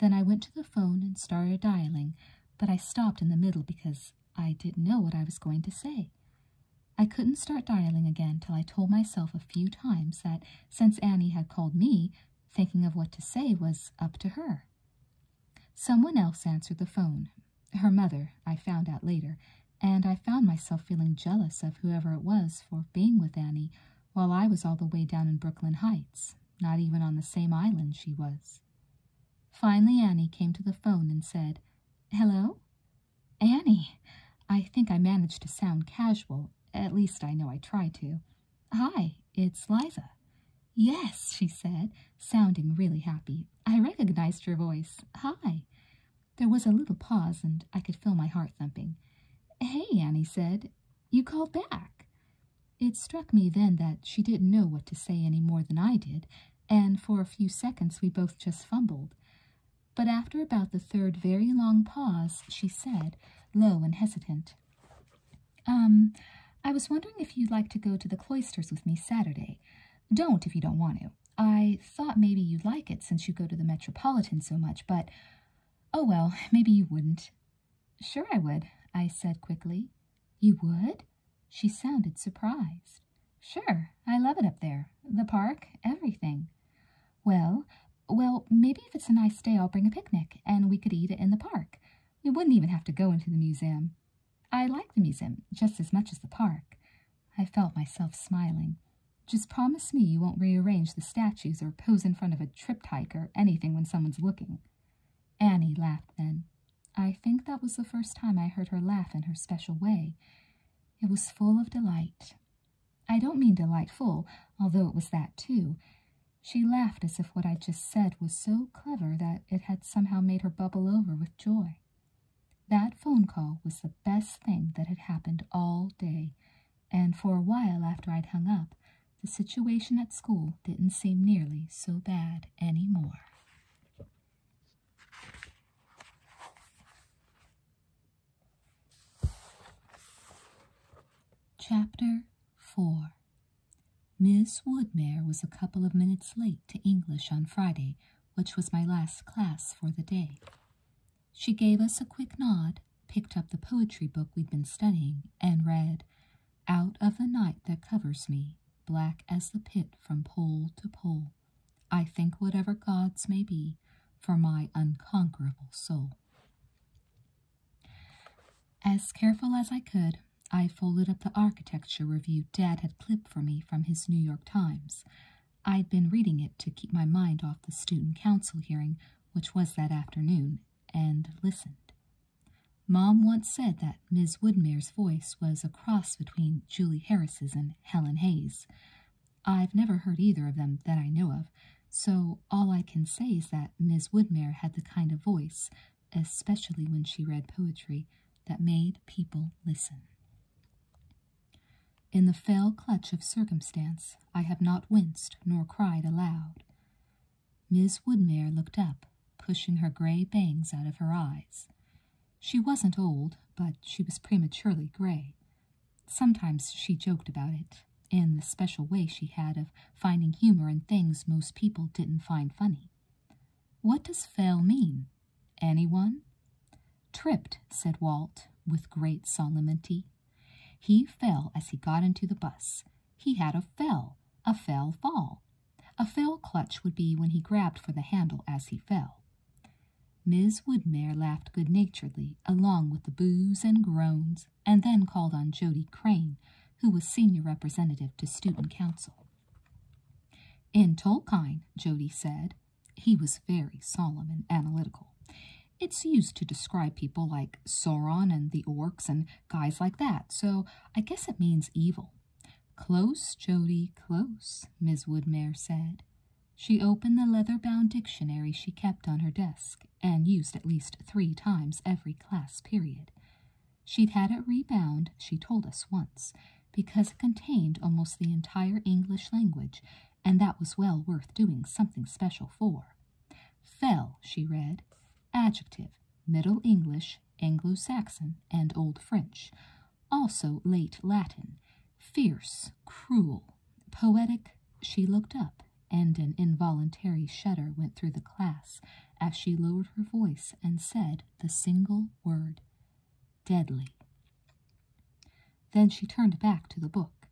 Speaker 1: Then I went to the phone and started dialing, but I stopped in the middle because I didn't know what I was going to say. I couldn't start dialing again till I told myself a few times that since Annie had called me, thinking of what to say was up to her. Someone else answered the phone. Her mother, I found out later, and I found myself feeling jealous of whoever it was for being with Annie while I was all the way down in Brooklyn Heights, not even on the same island she was. Finally, Annie came to the phone and said, Hello? Annie, I think I managed to sound casual. At least I know I tried to. Hi, it's Liza. Yes, she said, sounding really happy. I recognized your voice. Hi. There was a little pause, and I could feel my heart thumping. Hey, Annie said, you called back. It struck me then that she didn't know what to say any more than I did, and for a few seconds we both just fumbled. But after about the third very long pause, she said, low and hesitant, Um, I was wondering if you'd like to go to the cloisters with me Saturday. Don't if you don't want to. I thought maybe you'd like it since you go to the Metropolitan so much, but oh well, maybe you wouldn't. Sure I would, I said quickly. You would? She sounded surprised. Sure, I love it up there. The park, everything. Well, well, maybe if it's a nice day, I'll bring a picnic and we could eat it in the park. We wouldn't even have to go into the museum. I like the museum just as much as the park. I felt myself smiling. Just promise me you won't rearrange the statues or pose in front of a triptych or anything when someone's looking. Annie laughed then. I think that was the first time I heard her laugh in her special way. It was full of delight. I don't mean delightful, although it was that too. She laughed as if what I'd just said was so clever that it had somehow made her bubble over with joy. That phone call was the best thing that had happened all day and for a while after I'd hung up, the situation at school didn't seem nearly so bad anymore. Chapter 4 Miss Woodmere was a couple of minutes late to English on Friday, which was my last class for the day. She gave us a quick nod, picked up the poetry book we'd been studying, and read, Out of the night that covers me, black as the pit from pole to pole, I think whatever gods may be for my unconquerable soul. As careful as I could, I folded up the architecture review Dad had clipped for me from his New York Times. I'd been reading it to keep my mind off the student council hearing, which was that afternoon, and listened. Mom once said that Miss Woodmere's voice was a cross between Julie Harris's and Helen Hayes. I've never heard either of them that I know of, so all I can say is that Miss Woodmere had the kind of voice, especially when she read poetry, that made people listen. In the fell clutch of circumstance, I have not winced nor cried aloud. Miss Woodmere looked up, pushing her gray bangs out of her eyes. She wasn't old, but she was prematurely gray. Sometimes she joked about it, in the special way she had of finding humor in things most people didn't find funny. What does fell mean? Anyone? Tripped, said Walt, with great solemnity. He fell as he got into the bus. He had a fell, a fell fall. A fell clutch would be when he grabbed for the handle as he fell. Miss Woodmere laughed good naturedly, along with the boos and groans, and then called on Jody Crane, who was senior representative to student council. In Tolkien, Jody said, he was very solemn and analytical. It's used to describe people like Sauron and the orcs and guys like that, so I guess it means evil. Close, Jody, close, Miss Woodmere said. She opened the leather-bound dictionary she kept on her desk and used at least three times every class period. She'd had it rebound, she told us once, because it contained almost the entire English language and that was well worth doing something special for. Fell, she read, adjective, Middle English, Anglo Saxon, and Old French, also late Latin, fierce, cruel, poetic. She looked up, and an involuntary shudder went through the class as she lowered her voice and said the single word, deadly. Then she turned back to the book.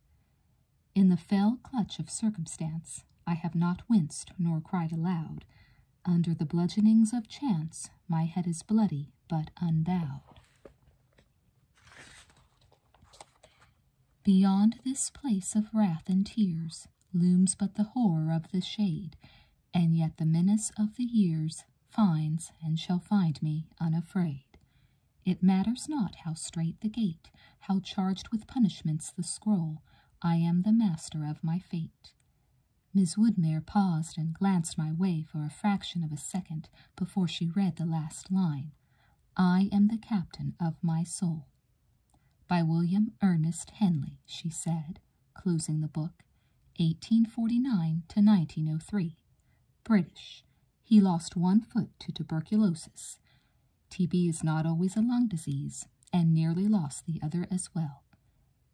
Speaker 1: In the fell clutch of circumstance, I have not winced nor cried aloud. Under the bludgeonings of chance, my head is bloody but unbowed. Beyond this place of wrath and tears looms but the horror of the shade, and yet the menace of the years finds and shall find me unafraid. It matters not how strait the gate, how charged with punishments the scroll, I am the master of my fate. Miss Woodmere paused and glanced my way for a fraction of a second before she read the last line I am the captain of my soul. By William Ernest Henley, she said, closing the book, 1849 to 1903. British, he lost one foot to tuberculosis. TB is not always a lung disease, and nearly lost the other as well.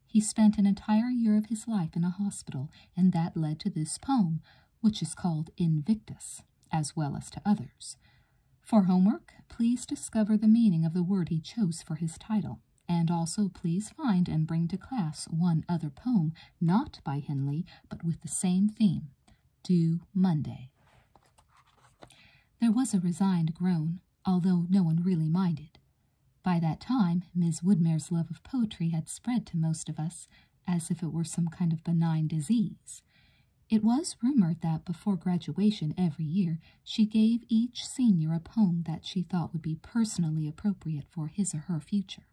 Speaker 1: He spent an entire year of his life in a hospital, and that led to this poem, which is called Invictus, as well as to others. For homework, please discover the meaning of the word he chose for his title, and also please find and bring to class one other poem, not by Henley, but with the same theme due Monday. There was a resigned groan, although no one really minded. By that time, Miss Woodmere's love of poetry had spread to most of us as if it were some kind of benign disease. It was rumored that before graduation every year, she gave each senior a poem that she thought would be personally appropriate for his or her future.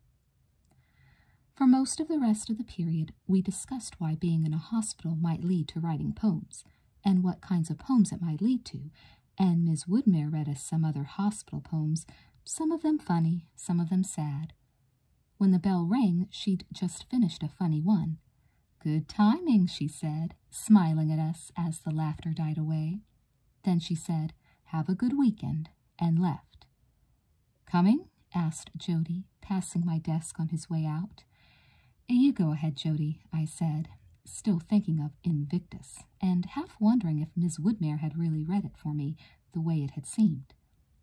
Speaker 1: For most of the rest of the period, we discussed why being in a hospital might lead to writing poems, and what kinds of poems it might lead to, and Miss Woodmere read us some other hospital poems, some of them funny, some of them sad. When the bell rang, she'd just finished a funny one. Good timing, she said, smiling at us as the laughter died away. Then she said, Have a good weekend, and left. Coming? asked Jody, passing my desk on his way out. You go ahead, Jody, I said, still thinking of Invictus, and half wondering if Miss Woodmere had really read it for me the way it had seemed.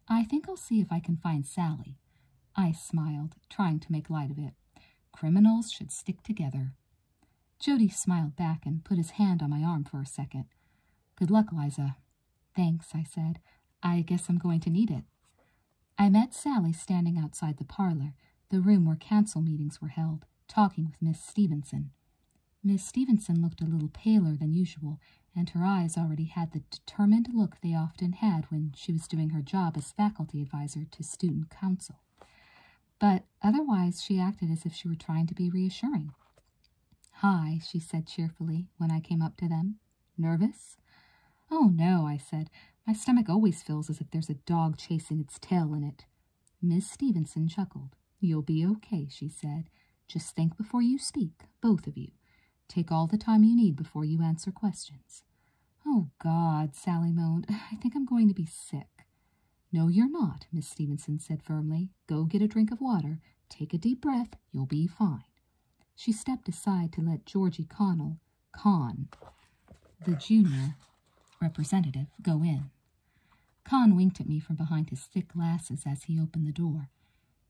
Speaker 1: I think I'll see if I can find Sally. I smiled, trying to make light of it. Criminals should stick together. Jody smiled back and put his hand on my arm for a second. Good luck, Liza. Thanks, I said. I guess I'm going to need it. I met Sally standing outside the parlor, the room where council meetings were held, talking with Miss Stevenson. Miss Stevenson looked a little paler than usual, and her eyes already had the determined look they often had when she was doing her job as faculty advisor to student council. But otherwise, she acted as if she were trying to be reassuring. Hi, she said cheerfully when I came up to them. Nervous? Oh, no, I said. My stomach always feels as if there's a dog chasing its tail in it. Miss Stevenson chuckled. You'll be okay, she said. Just think before you speak, both of you. Take all the time you need before you answer questions. Oh, God, Sally moaned. I think I'm going to be sick. No, you're not, Miss Stevenson said firmly. Go get a drink of water. Take a deep breath. You'll be fine. She stepped aside to let Georgie Connell, Conn, the junior representative, go in. Conn winked at me from behind his thick glasses as he opened the door.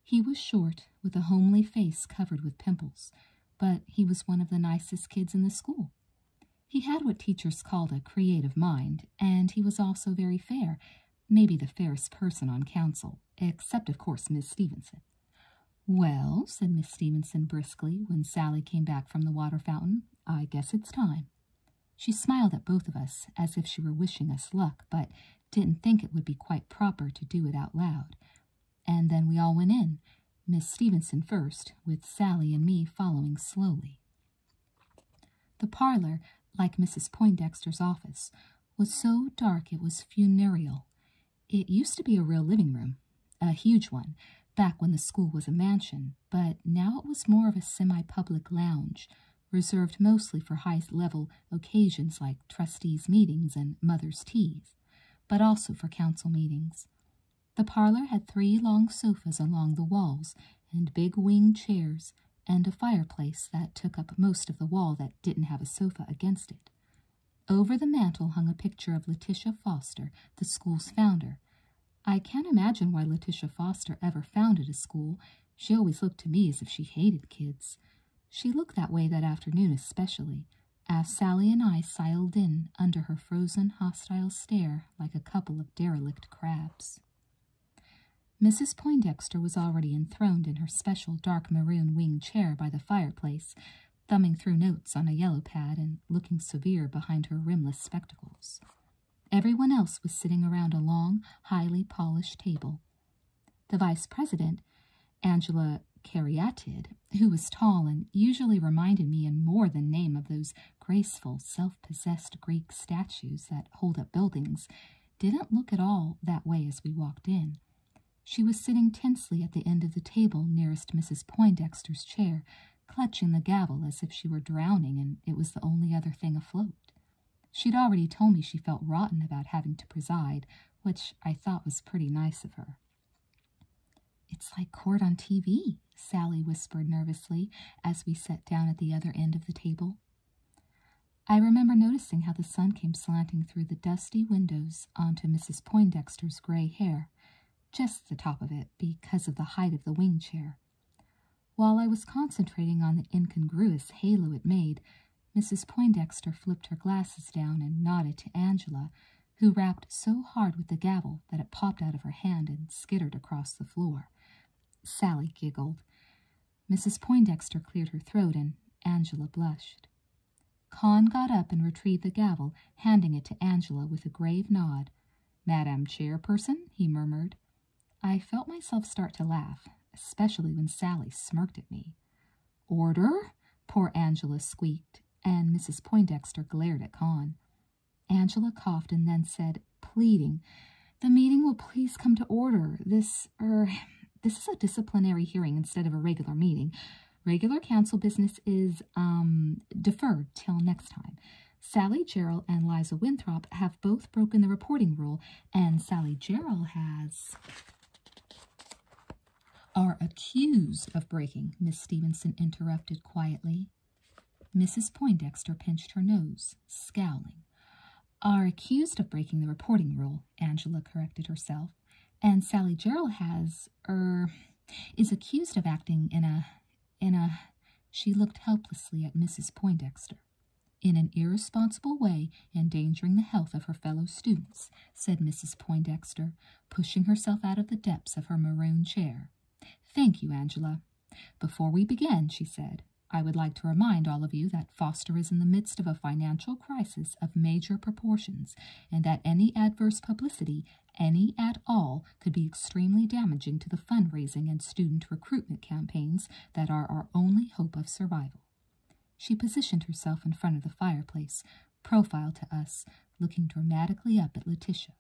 Speaker 1: He was short, with a homely face covered with pimples, but he was one of the nicest kids in the school. He had what teachers called a creative mind, and he was also very fair, maybe the fairest person on council, except, of course, Miss Stevenson. Well, said Miss Stevenson briskly when Sally came back from the water fountain, I guess it's time. She smiled at both of us as if she were wishing us luck, but didn't think it would be quite proper to do it out loud. And then we all went in, Miss Stevenson first, with Sally and me following slowly. The parlor, like Mrs. Poindexter's office, was so dark it was funereal. It used to be a real living room, a huge one, back when the school was a mansion, but now it was more of a semi-public lounge, reserved mostly for high-level occasions like trustees' meetings and mothers' teas, but also for council meetings. The parlor had three long sofas along the walls and big wing chairs and a fireplace that took up most of the wall that didn't have a sofa against it. Over the mantel hung a picture of Letitia Foster, the school's founder. I can't imagine why Letitia Foster ever founded a school. She always looked to me as if she hated kids. She looked that way that afternoon especially, as Sally and I siled in under her frozen, hostile stare like a couple of derelict crabs. Mrs. Poindexter was already in enthroned in her special dark maroon wing chair by the fireplace, thumbing through notes on a yellow pad and looking severe behind her rimless spectacles. Everyone else was sitting around a long, highly polished table. The vice president, Angela Cariatid, who was tall and usually reminded me in more than name of those graceful, self-possessed Greek statues that hold up buildings, didn't look at all that way as we walked in. She was sitting tensely at the end of the table nearest Mrs. Poindexter's chair, clutching the gavel as if she were drowning and it was the only other thing afloat. She'd already told me she felt rotten about having to preside, which I thought was pretty nice of her. It's like court on TV, Sally whispered nervously as we sat down at the other end of the table. I remember noticing how the sun came slanting through the dusty windows onto Mrs. Poindexter's gray hair, just the top of it because of the height of the wing chair. While I was concentrating on the incongruous halo it made, Mrs. Poindexter flipped her glasses down and nodded to Angela, who rapped so hard with the gavel that it popped out of her hand and skittered across the floor. Sally giggled. Mrs. Poindexter cleared her throat and Angela blushed. Con got up and retrieved the gavel, handing it to Angela with a grave nod. Madam Chairperson, he murmured. I felt myself start to laugh, especially when Sally smirked at me. Order? Poor Angela squeaked, and Mrs. Poindexter glared at Con. Angela coughed and then said, pleading, The meeting will please come to order. This, er, this is a disciplinary hearing instead of a regular meeting. Regular council business is um, deferred till next time. Sally Gerald and Liza Winthrop have both broken the reporting rule, and Sally Gerald has are accused of breaking, Miss Stevenson interrupted quietly. Mrs. Poindexter pinched her nose, scowling. Are accused of breaking the reporting rule, Angela corrected herself and Sally Gerald has er is accused of acting in a in a she looked helplessly at Mrs. Poindexter. In an irresponsible way, endangering the health of her fellow students, said Mrs. Poindexter, pushing herself out of the depths of her maroon chair. Thank you, Angela. Before we begin, she said, I would like to remind all of you that Foster is in the midst of a financial crisis of major proportions and that any adverse publicity, any at all, could be extremely damaging to the fundraising and student recruitment campaigns that are our only hope of survival. She positioned herself in front of the fireplace, profile to us, looking dramatically up at Letitia.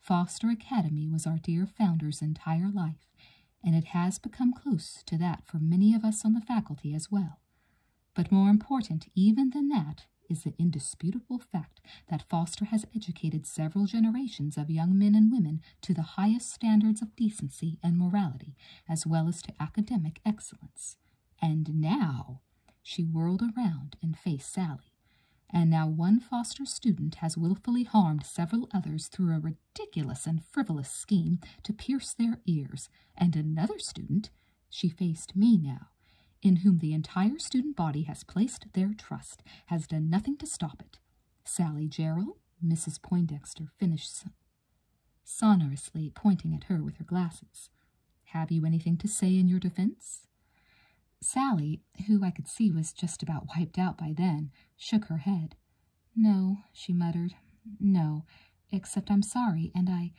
Speaker 1: Foster Academy was our dear founder's entire life, and it has become close to that for many of us on the faculty as well. But more important even than that is the indisputable fact that Foster has educated several generations of young men and women to the highest standards of decency and morality, as well as to academic excellence. And now, she whirled around and faced Sally. And now one Foster student has willfully harmed several others through a ridiculous and frivolous scheme to pierce their ears, and another student she faced me now, in whom the entire student body has placed their trust, has done nothing to stop it. Sally Gerald, Mrs. Poindexter finished sonorously, pointing at her with her glasses. Have you anything to say in your defense? Sally, who I could see was just about wiped out by then, shook her head. No, she muttered. No, except I'm sorry, and I,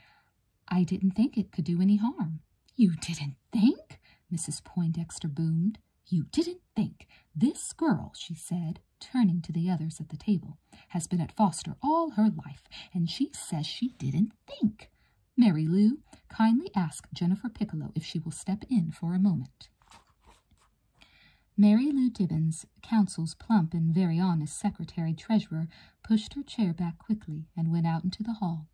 Speaker 1: I didn't think it could do any harm. You didn't think? Mrs. Poindexter boomed. You didn't think. This girl, she said, turning to the others at the table, has been at Foster all her life, and she says she didn't think. Mary Lou, kindly ask Jennifer Piccolo if she will step in for a moment. Mary Lou Dibbins, Council's plump and very honest secretary treasurer, pushed her chair back quickly, and went out into the hall.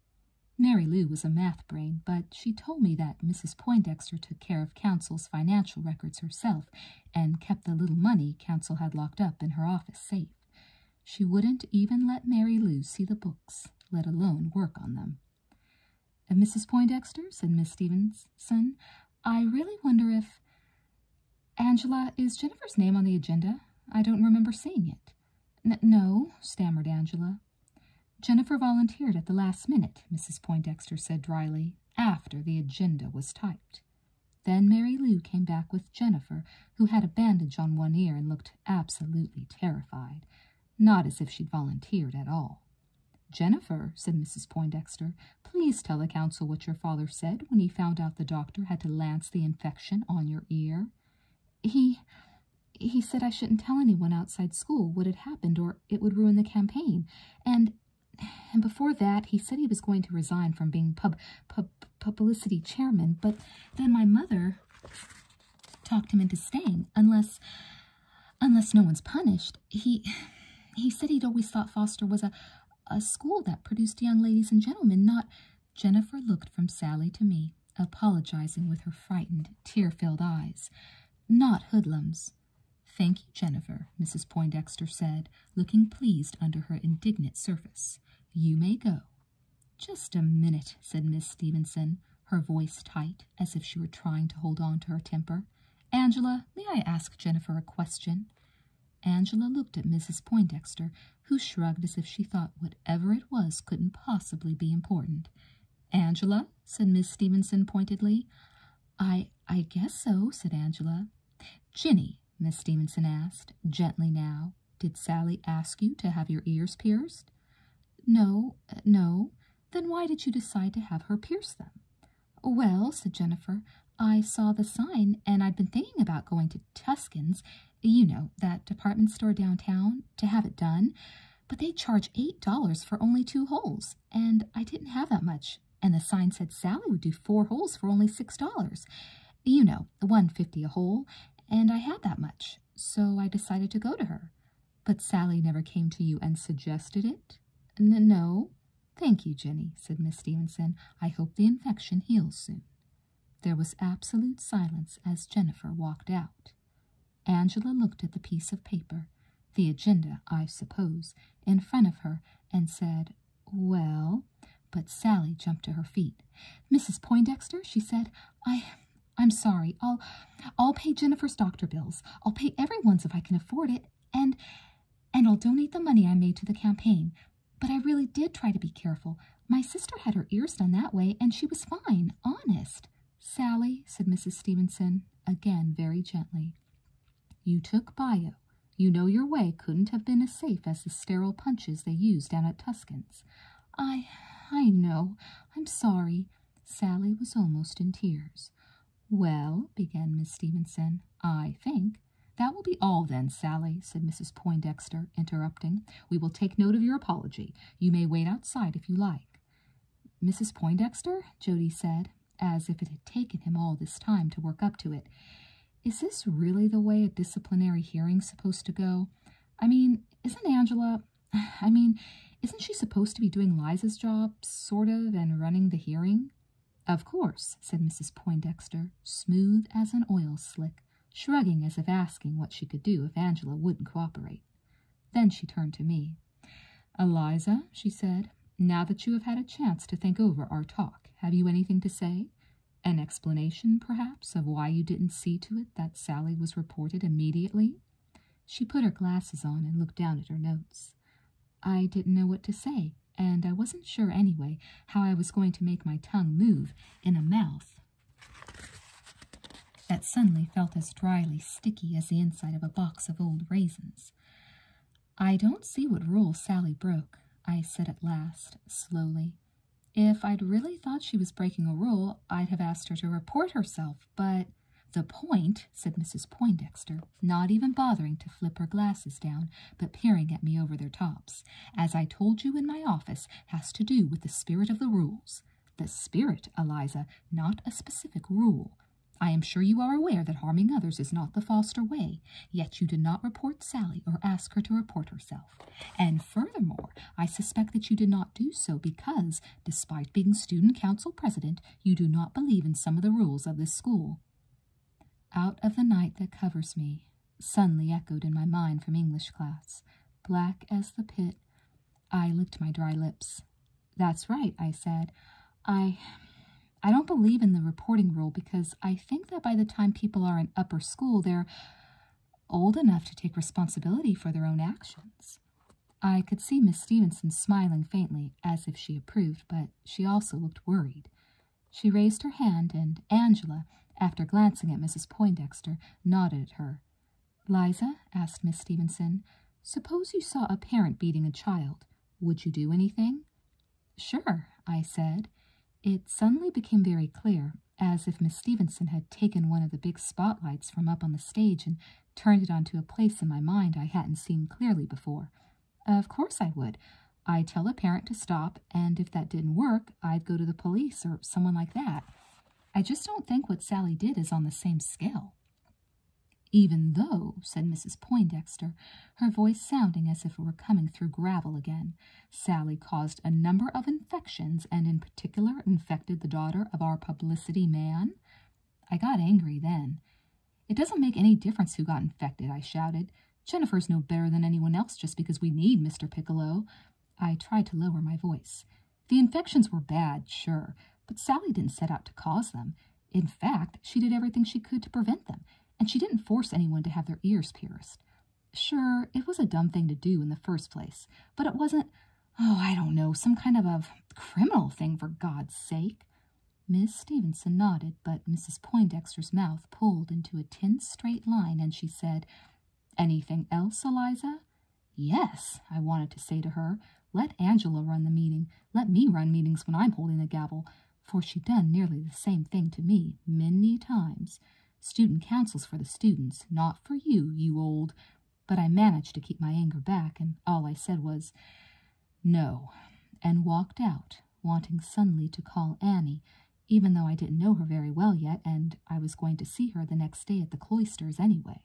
Speaker 1: Mary Lou was a math brain, but she told me that Mrs. Poindexter took care of Council's financial records herself and kept the little money Council had locked up in her office safe. She wouldn't even let Mary Lou see the books, let alone work on them. And Mrs. Poindexter, said Miss Stevenson, I really wonder if Angela, is Jennifer's name on the agenda? I don't remember seeing it. N no, stammered Angela. Jennifer volunteered at the last minute, Mrs. Poindexter said dryly, after the agenda was typed. Then Mary Lou came back with Jennifer, who had a bandage on one ear and looked absolutely terrified, not as if she'd volunteered at all. Jennifer, said Mrs. Poindexter, please tell the council what your father said when he found out the doctor had to lance the infection on your ear. He he said I shouldn't tell anyone outside school what had happened or it would ruin the campaign. And and before that, he said he was going to resign from being pub pub publicity chairman, but then my mother talked him into staying unless unless no one's punished. He he said he'd always thought Foster was a a school that produced young ladies and gentlemen, not Jennifer looked from Sally to me, apologizing with her frightened, tear filled eyes. Not hoodlums. Thank you, Jennifer, Mrs. Poindexter said, looking pleased under her indignant surface. You may go. Just a minute, said Miss Stevenson, her voice tight, as if she were trying to hold on to her temper. Angela, may I ask Jennifer a question? Angela looked at Mrs. Poindexter who shrugged as if she thought whatever it was couldn't possibly be important. Angela, said Miss Stevenson pointedly. I I guess so, said Angela. Ginny, Miss Stevenson asked, gently now, did Sally ask you to have your ears pierced? No, no. Then why did you decide to have her pierce them? Well, said Jennifer, I saw the sign and I'd been thinking about going to Tuscan's you know, that department store downtown to have it done, but they charge $8 for only two holes, and I didn't have that much. And the sign said Sally would do four holes for only $6. You know, one fifty a hole, and I had that much, so I decided to go to her. But Sally never came to you and suggested it? N no. Thank you, Jenny, said Miss Stevenson. I hope the infection heals soon. There was absolute silence as Jennifer walked out. Angela looked at the piece of paper, the agenda, I suppose, in front of her and said, Well, but Sally jumped to her feet. Mrs. Poindexter, she said, I. I'm sorry. I'll I'll pay Jennifer's doctor bills. I'll pay everyone's if I can afford it, and and I'll donate the money I made to the campaign. But I really did try to be careful. My sister had her ears done that way, and she was fine, honest. Sally, said Mrs. Stevenson, again very gently, you took bio. You know your way couldn't have been as safe as the sterile punches they use down at Tuscan's. I, I know. I'm sorry. Sally was almost in tears. Well, began Miss Stevenson, I think that will be all then, Sally, said Mrs. Poindexter, interrupting. We will take note of your apology. You may wait outside if you like. Mrs. Poindexter, Jody said, as if it had taken him all this time to work up to it. "Is this really the way a disciplinary hearing supposed to go? I mean, isn't Angela, I mean, isn't she supposed to be doing Liza's job, sort of, and running the hearing? Of course, said Mrs. Poindexter, smooth as an oil slick shrugging as if asking what she could do if Angela wouldn't cooperate. Then she turned to me. Eliza, she said, now that you have had a chance to think over our talk, have you anything to say? An explanation, perhaps, of why you didn't see to it that Sally was reported immediately? She put her glasses on and looked down at her notes. I didn't know what to say, and I wasn't sure anyway how I was going to make my tongue move in a mouth that suddenly felt as dryly sticky as the inside of a box of old raisins. I don't see what rule Sally broke, I said at last, slowly. If I'd really thought she was breaking a rule, I'd have asked her to report herself, but the point, said Mrs. Poindexter, not even bothering to flip her glasses down, but peering at me over their tops. As I told you in my office, has to do with the spirit of the rules. The spirit, Eliza, not a specific rule. I am sure you are aware that harming others is not the Foster way, yet you did not report Sally or ask her to report herself. And furthermore, I suspect that you did not do so because, despite being student council president, you do not believe in some of the rules of this school. Out of the night that covers me, Suddenly echoed in my mind from English class. Black as the pit. I licked my dry lips. That's right, I said. I. I don't believe in the reporting rule because I think that by the time people are in upper school, they're old enough to take responsibility for their own actions. I could see Miss Stevenson smiling faintly, as if she approved, but she also looked worried. She raised her hand, and Angela, after glancing at Mrs. Poindexter, nodded at her. Liza, asked Miss Stevenson, suppose you saw a parent beating a child. Would you do anything? Sure, I said. It suddenly became very clear, as if Miss Stevenson had taken one of the big spotlights from up on the stage and turned it onto a place in my mind I hadn't seen clearly before. Of course I would. I tell a parent to stop and if that didn't work, I'd go to the police or someone like that. I just don't think what Sally did is on the same scale. Even though, said Mrs. Poindexter, her voice sounding as if it were coming through gravel again, Sally caused a number of infections and in particular infected the daughter of our publicity man. I got angry then. It doesn't make any difference who got infected, I shouted. Jennifer's no better than anyone else just because we need Mr. Piccolo. I tried to lower my voice. The infections were bad, sure, but Sally didn't set out to cause them. In fact, she did everything she could to prevent them, and she didn't force anyone to have their ears pierced. Sure, it was a dumb thing to do in the first place, but it wasn't, oh, I don't know, some kind of a criminal thing for God's sake. Miss Stevenson nodded, but Mrs. Poindexter's mouth pulled into a tense straight line, and she said, Anything else, Eliza? Yes, I wanted to say to her, let Angela run the meeting. Let me run meetings when I'm holding the gavel, for she done nearly the same thing to me many times. Student councils for the students, not for you, you old. But I managed to keep my anger back, and all I said was, no, and walked out, wanting suddenly to call Annie even though I didn't know her very well yet, and I was going to see her the next day at the cloisters anyway.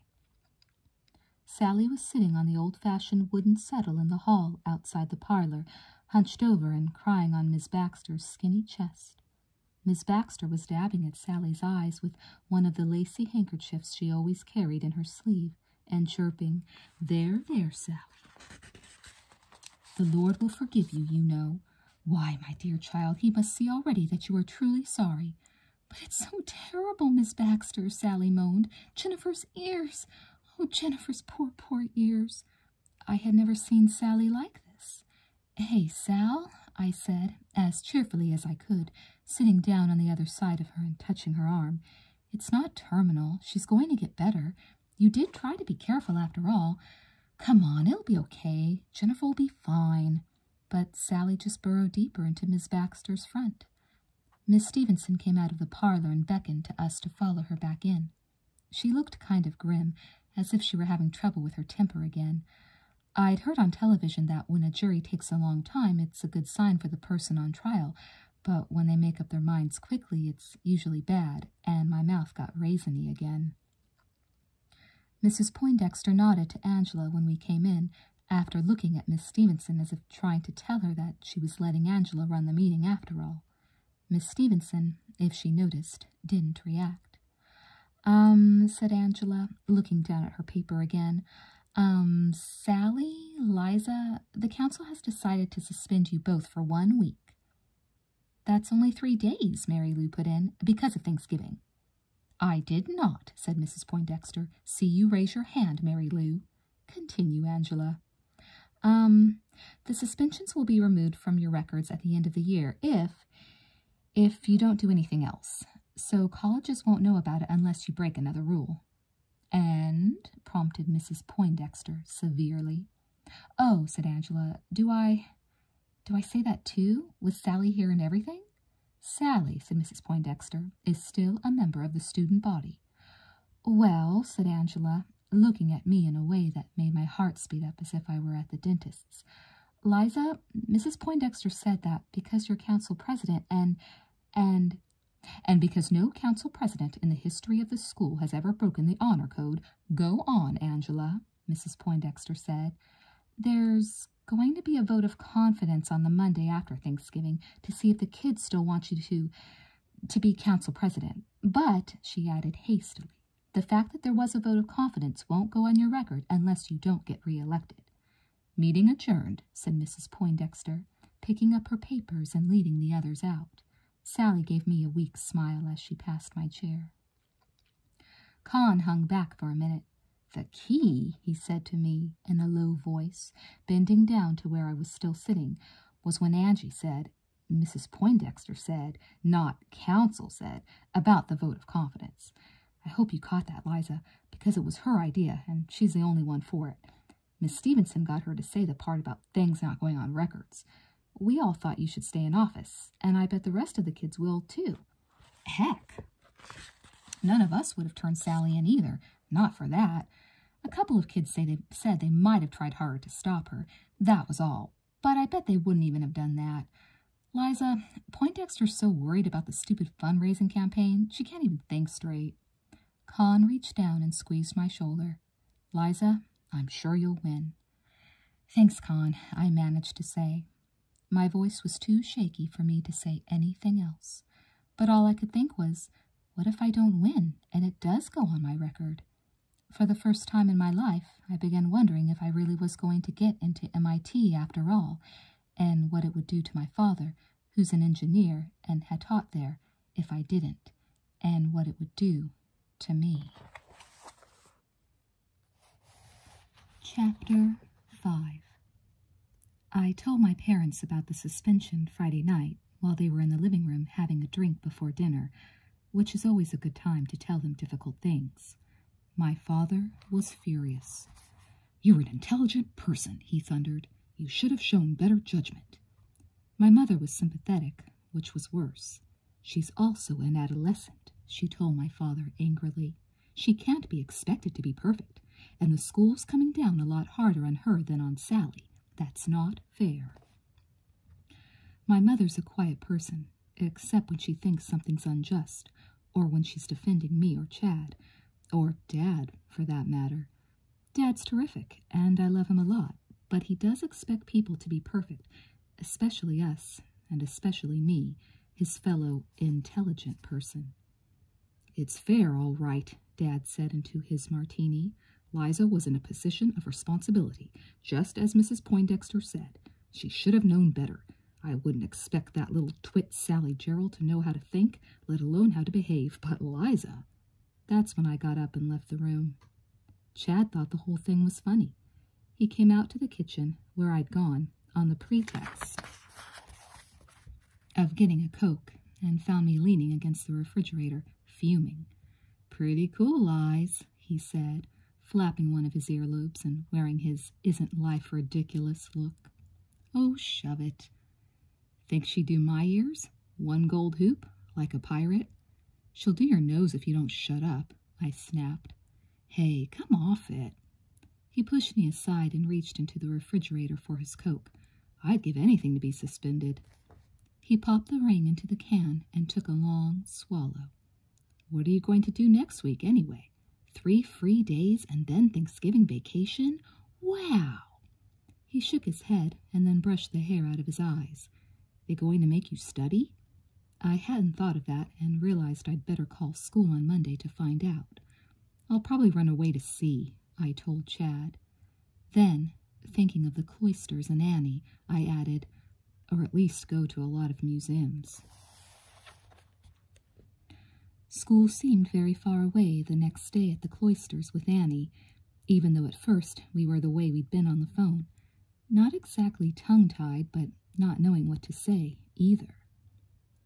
Speaker 1: Sally was sitting on the old fashioned wooden settle in the hall outside the parlor, hunched over and crying on Miss Baxter's skinny chest. Miss Baxter was dabbing at Sally's eyes with one of the lacy handkerchiefs she always carried in her sleeve, and chirping, There, there, Sally. The Lord will forgive you, you know, why, my dear child, he must see already that you are truly sorry. But it's so terrible, Miss Baxter, Sally moaned. Jennifer's ears! Oh, Jennifer's poor, poor ears! I had never seen Sally like this. Hey, Sal, I said, as cheerfully as I could, sitting down on the other side of her and touching her arm. It's not terminal. She's going to get better. You did try to be careful, after all. Come on, it'll be okay. Jennifer will be fine. But Sally just burrowed deeper into Miss Baxter's front. Miss Stevenson came out of the parlor and beckoned to us to follow her back in. She looked kind of grim, as if she were having trouble with her temper again. I'd heard on television that when a jury takes a long time, it's a good sign for the person on trial, but when they make up their minds quickly, it's usually bad, and my mouth got raisiny again. Mrs. Poindexter nodded to Angela when we came in, after looking at Miss Stevenson as if trying to tell her that she was letting Angela run the meeting after all. Miss Stevenson, if she noticed, didn't react. Um, said Angela, looking down at her paper again. Um, Sally, Liza, the council has decided to suspend you both for one week. That's only three days, Mary Lou put in, because of Thanksgiving. I did not, said Mrs. Poindexter. See you raise your hand, Mary Lou. Continue, Angela. Um, the suspensions will be removed from your records at the end of the year if, if you don't do anything else. So colleges won't know about it unless you break another rule. And, prompted Mrs. Poindexter severely. Oh, said Angela, do I, do I say that too, with Sally here and everything? Sally, said Mrs. Poindexter, is still a member of the student body. Well, said Angela, looking at me in a way that made my heart speed up as if I were at the dentist's. Liza, Mrs. Poindexter said that because you're council president and, and, and because no council president in the history of the school has ever broken the honor code. Go on, Angela. Mrs. Poindexter said. There's going to be a vote of confidence on the Monday after Thanksgiving to see if the kids still want you to to be council president. But, she added hastily, the fact that there was a vote of confidence won't go on your record unless you don't get reelected. Meeting adjourned, said Mrs. Poindexter, picking up her papers and leading the others out. Sally gave me a weak smile as she passed my chair. Con hung back for a minute. The key, he said to me in a low voice, bending down to where I was still sitting, was when Angie said, Mrs. Poindexter said, not counsel said, about the vote of confidence. I hope you caught that, Liza, because it was her idea, and she's the only one for it. Miss Stevenson got her to say the part about things not going on records. We all thought you should stay in office, and I bet the rest of the kids will, too. Heck, none of us would have turned Sally in either, not for that. A couple of kids say they said they might have tried harder to stop her, that was all, but I bet they wouldn't even have done that. Liza, Poindexter's so worried about the stupid fundraising campaign, she can't even think straight. Con reached down and squeezed my shoulder. Liza, I'm sure you'll win. Thanks, Con, I managed to say. My voice was too shaky for me to say anything else, but all I could think was, what if I don't win and it does go on my record? For the first time in my life, I began wondering if I really was going to get into MIT after all, and what it would do to my father, who's an engineer and had taught there, if I didn't, and what it would do to me. Chapter 5 I told my parents about the suspension Friday night while they were in the living room having a drink before dinner, which is always a good time to tell them difficult things. My father was furious. You're an intelligent person, he thundered. You should have shown better judgment. My mother was sympathetic, which was worse. She's also an adolescent, she told my father angrily. She can't be expected to be perfect, and the school's coming down a lot harder on her than on Sally. That's not fair. My mother's a quiet person, except when she thinks something's unjust, or when she's defending me or Chad, or Dad, for that matter. Dad's terrific, and I love him a lot, but he does expect people to be perfect, especially us, and especially me, his fellow intelligent person. It's fair, all right, Dad said into his martini. Liza was in a position of responsibility, just as Mrs. Poindexter said. She should have known better. I wouldn't expect that little twit Sally Gerald to know how to think, let alone how to behave, but Liza. That's when I got up and left the room. Chad thought the whole thing was funny. He came out to the kitchen where I'd gone on the pretext of getting a Coke and found me leaning against the refrigerator, fuming. Pretty cool eyes, he said, flapping one of his earlobes and wearing his isn't life ridiculous look. Oh, shove it. Think she'd do my ears? One gold hoop, like a pirate? She'll do your nose if you don't shut up, I snapped. Hey, come off it. He pushed me aside and reached into the refrigerator for his Coke. I'd give anything to be suspended. He popped the ring into the can and took a long swallow. What are you going to do next week, anyway? Three free days and then Thanksgiving vacation? Wow! He shook his head and then brushed the hair out of his eyes. They going to make you study? I hadn't thought of that and realized I'd better call school on Monday to find out. I'll probably run away to see. I told Chad. Then, thinking of the cloisters and Annie, I added, or at least go to a lot of museums. School seemed very far away the next day at the cloisters with Annie, even though at first we were the way we'd been on the phone. Not exactly tongue-tied, but not knowing what to say, either.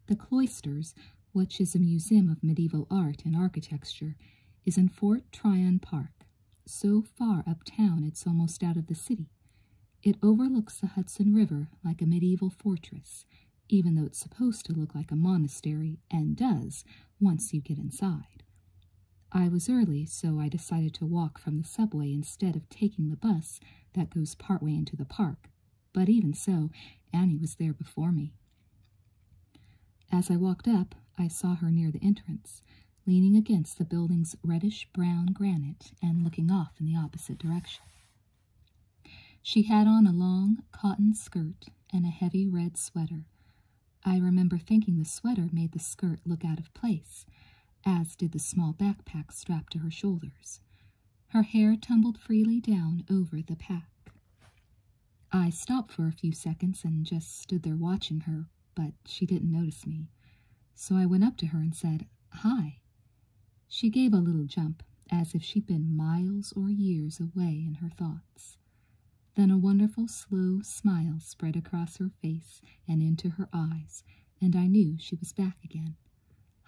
Speaker 1: The cloisters, which is a museum of medieval art and architecture, is in Fort Tryon Park, so far uptown it's almost out of the city. It overlooks the Hudson River like a medieval fortress, even though it's supposed to look like a monastery, and does, once you get inside. I was early, so I decided to walk from the subway instead of taking the bus that goes partway into the park, but even so, Annie was there before me. As I walked up, I saw her near the entrance, leaning against the building's reddish brown granite and looking off in the opposite direction. She had on a long cotton skirt and a heavy red sweater. I remember thinking the sweater made the skirt look out of place, as did the small backpack strapped to her shoulders, her hair tumbled freely down over the pack. I stopped for a few seconds and just stood there watching her, but she didn't notice me. So I went up to her and said, Hi. She gave a little jump, as if she'd been miles or years away in her thoughts. Then a wonderful slow smile spread across her face and into her eyes, and I knew she was back again.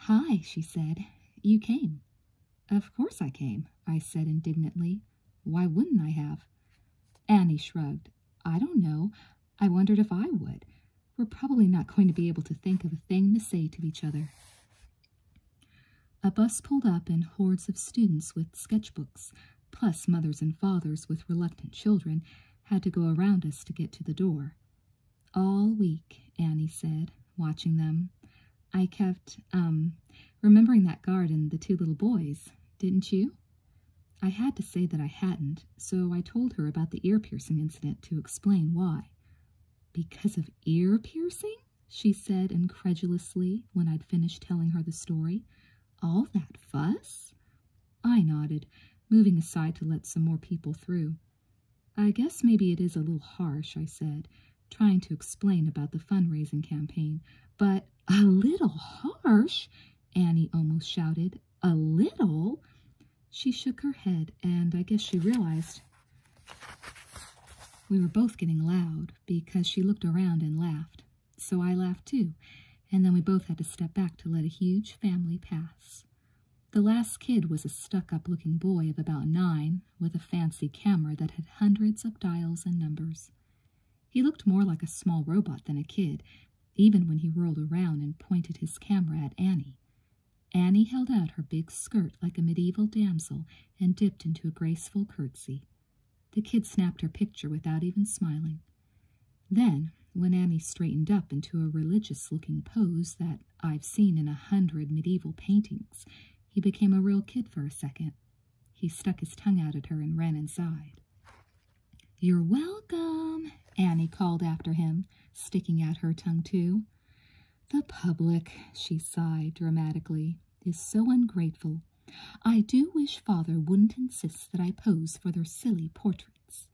Speaker 1: Hi, she said. You came. Of course I came, I said indignantly. Why wouldn't I have? Annie shrugged. I don't know. I wondered if I would. We're probably not going to be able to think of a thing to say to each other. A bus pulled up and hordes of students with sketchbooks, plus mothers and fathers with reluctant children, had to go around us to get to the door. All week, Annie said, watching them. I kept, um, remembering that guard and the two little boys, didn't you? I had to say that I hadn't, so I told her about the ear piercing incident to explain why. Because of ear piercing? she said incredulously when I'd finished telling her the story. All that fuss? I nodded, moving aside to let some more people through. I guess maybe it is a little harsh, I said, trying to explain about the fundraising campaign. But a little harsh? Annie almost shouted. A little? She shook her head, and I guess she realized we were both getting loud because she looked around and laughed. So I laughed too, and then we both had to step back to let a huge family pass. The last kid was a stuck up looking boy of about nine with a fancy camera that had hundreds of dials and numbers. He looked more like a small robot than a kid, even when he whirled around and pointed his camera at Annie. Annie held out her big skirt like a medieval damsel and dipped into a graceful curtsy. The kid snapped her picture without even smiling. Then, when Annie straightened up into a religious looking pose that I've seen in a hundred medieval paintings, he became a real kid for a second. He stuck his tongue out at her and ran inside. You're welcome, Annie called after him, sticking out her tongue too. The public, she sighed dramatically, is so ungrateful. I do wish father wouldn't insist that I pose for their silly portraits.